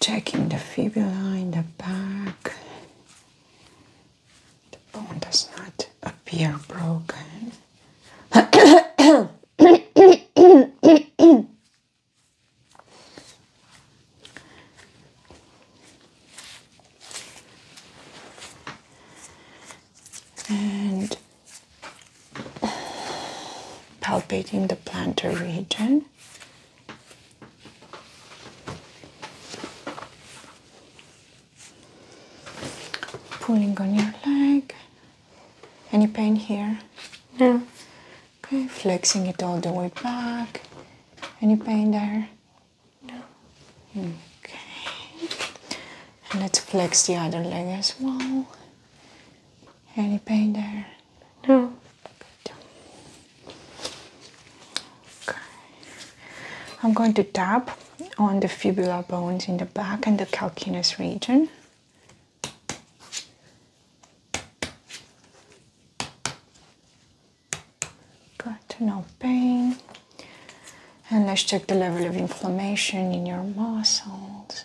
Checking the fibula in the back the bone does not appear broken. and palpating the plantar region Pulling on your leg. Any pain here? No. Okay, flexing it all the way back. Any pain there? No. Okay. let's flex the other leg as well. Any pain there? No. Okay. I'm going to tap on the fibula bones in the back and the calcaneus region. Got no pain. And let's check the level of inflammation in your muscles.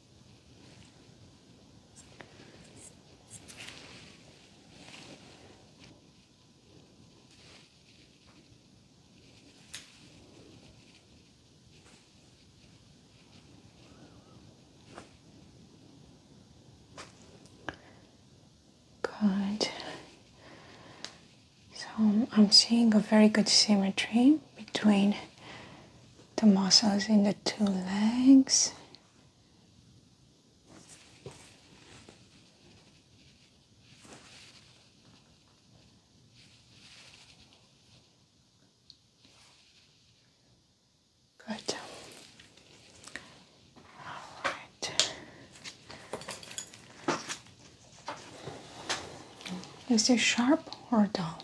Good. So I'm seeing a very good symmetry between the muscles in the two legs. Good. All right. Is it sharp or dull?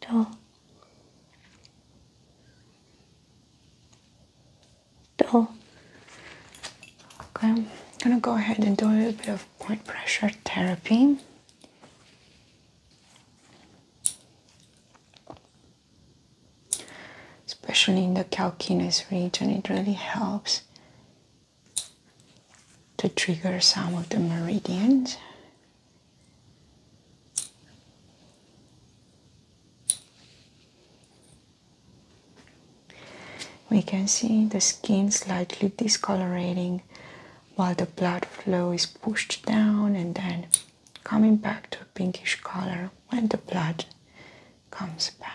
Do, dull. Okay, I'm gonna go ahead and do a little bit of point pressure therapy. Especially in the calcaneus region, it really helps to trigger some of the meridians. We can see the skin slightly discolorating while the blood flow is pushed down and then coming back to a pinkish color when the blood comes back.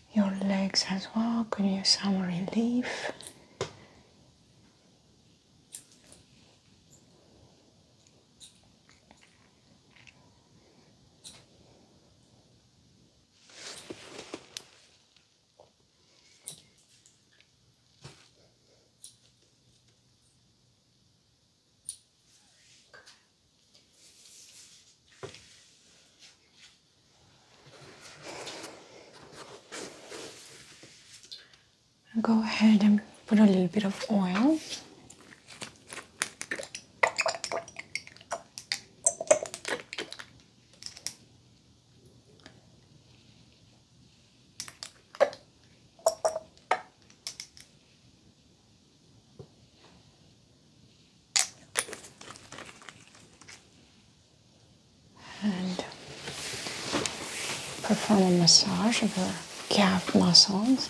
your legs as well. Could use some relief. Go ahead and put a little bit of oil and perform a massage of the calf muscles.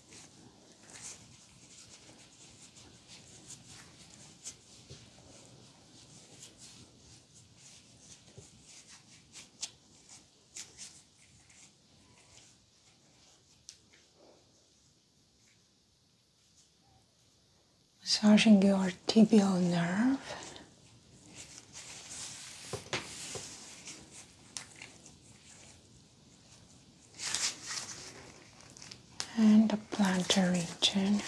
massaging your tibial nerve and the plantar region.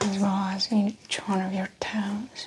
As well as each one of your toes.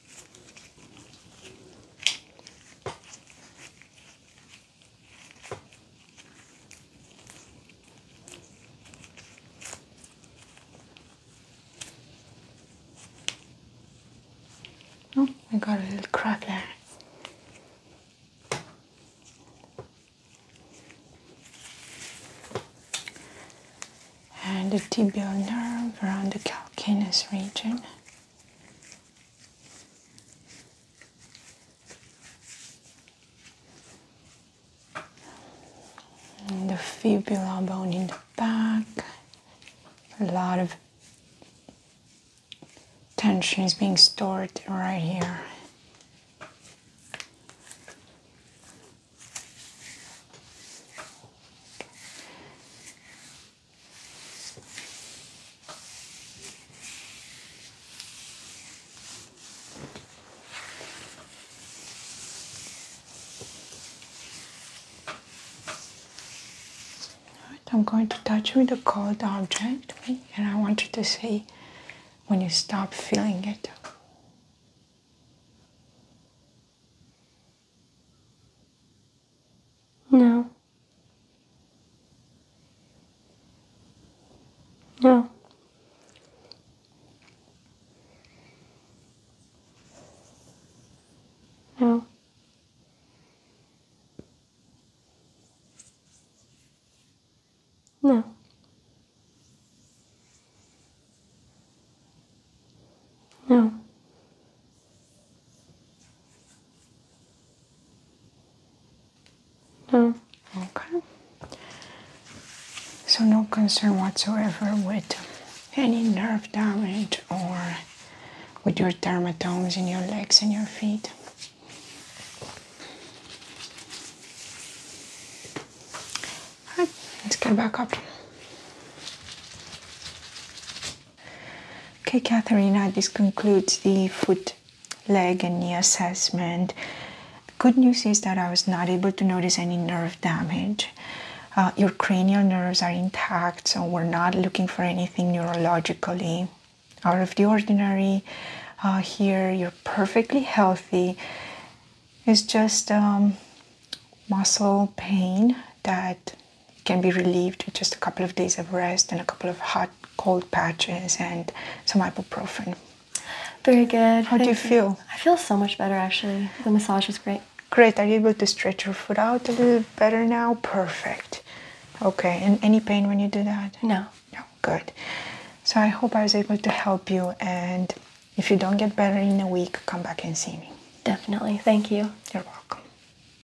Oh, I got a little crack there. And the tibial nerve around the calcaneus region the fibula bone in the back. A lot of tension is being stored right here. I'm going to touch with a cold object and I want you to say when you stop feeling it. No. No. No. No. No. Mm. Okay. So no concern whatsoever with any nerve damage or with your thermatomes in your legs and your feet. let's get back up. Okay, Katharina, this concludes the foot, leg, and knee assessment. Good news is that I was not able to notice any nerve damage. Uh, your cranial nerves are intact, so we're not looking for anything neurologically out of the ordinary. Uh, here, you're perfectly healthy. It's just um, muscle pain that can be relieved with just a couple of days of rest and a couple of hot cold patches and some ibuprofen. Very good. How do you, you feel? I feel so much better actually. The massage was great. Great. Are you able to stretch your foot out a little better now? Perfect. Okay. And any pain when you do that? No. No. Good. So I hope I was able to help you. And if you don't get better in a week, come back and see me. Definitely. Thank you. You're welcome.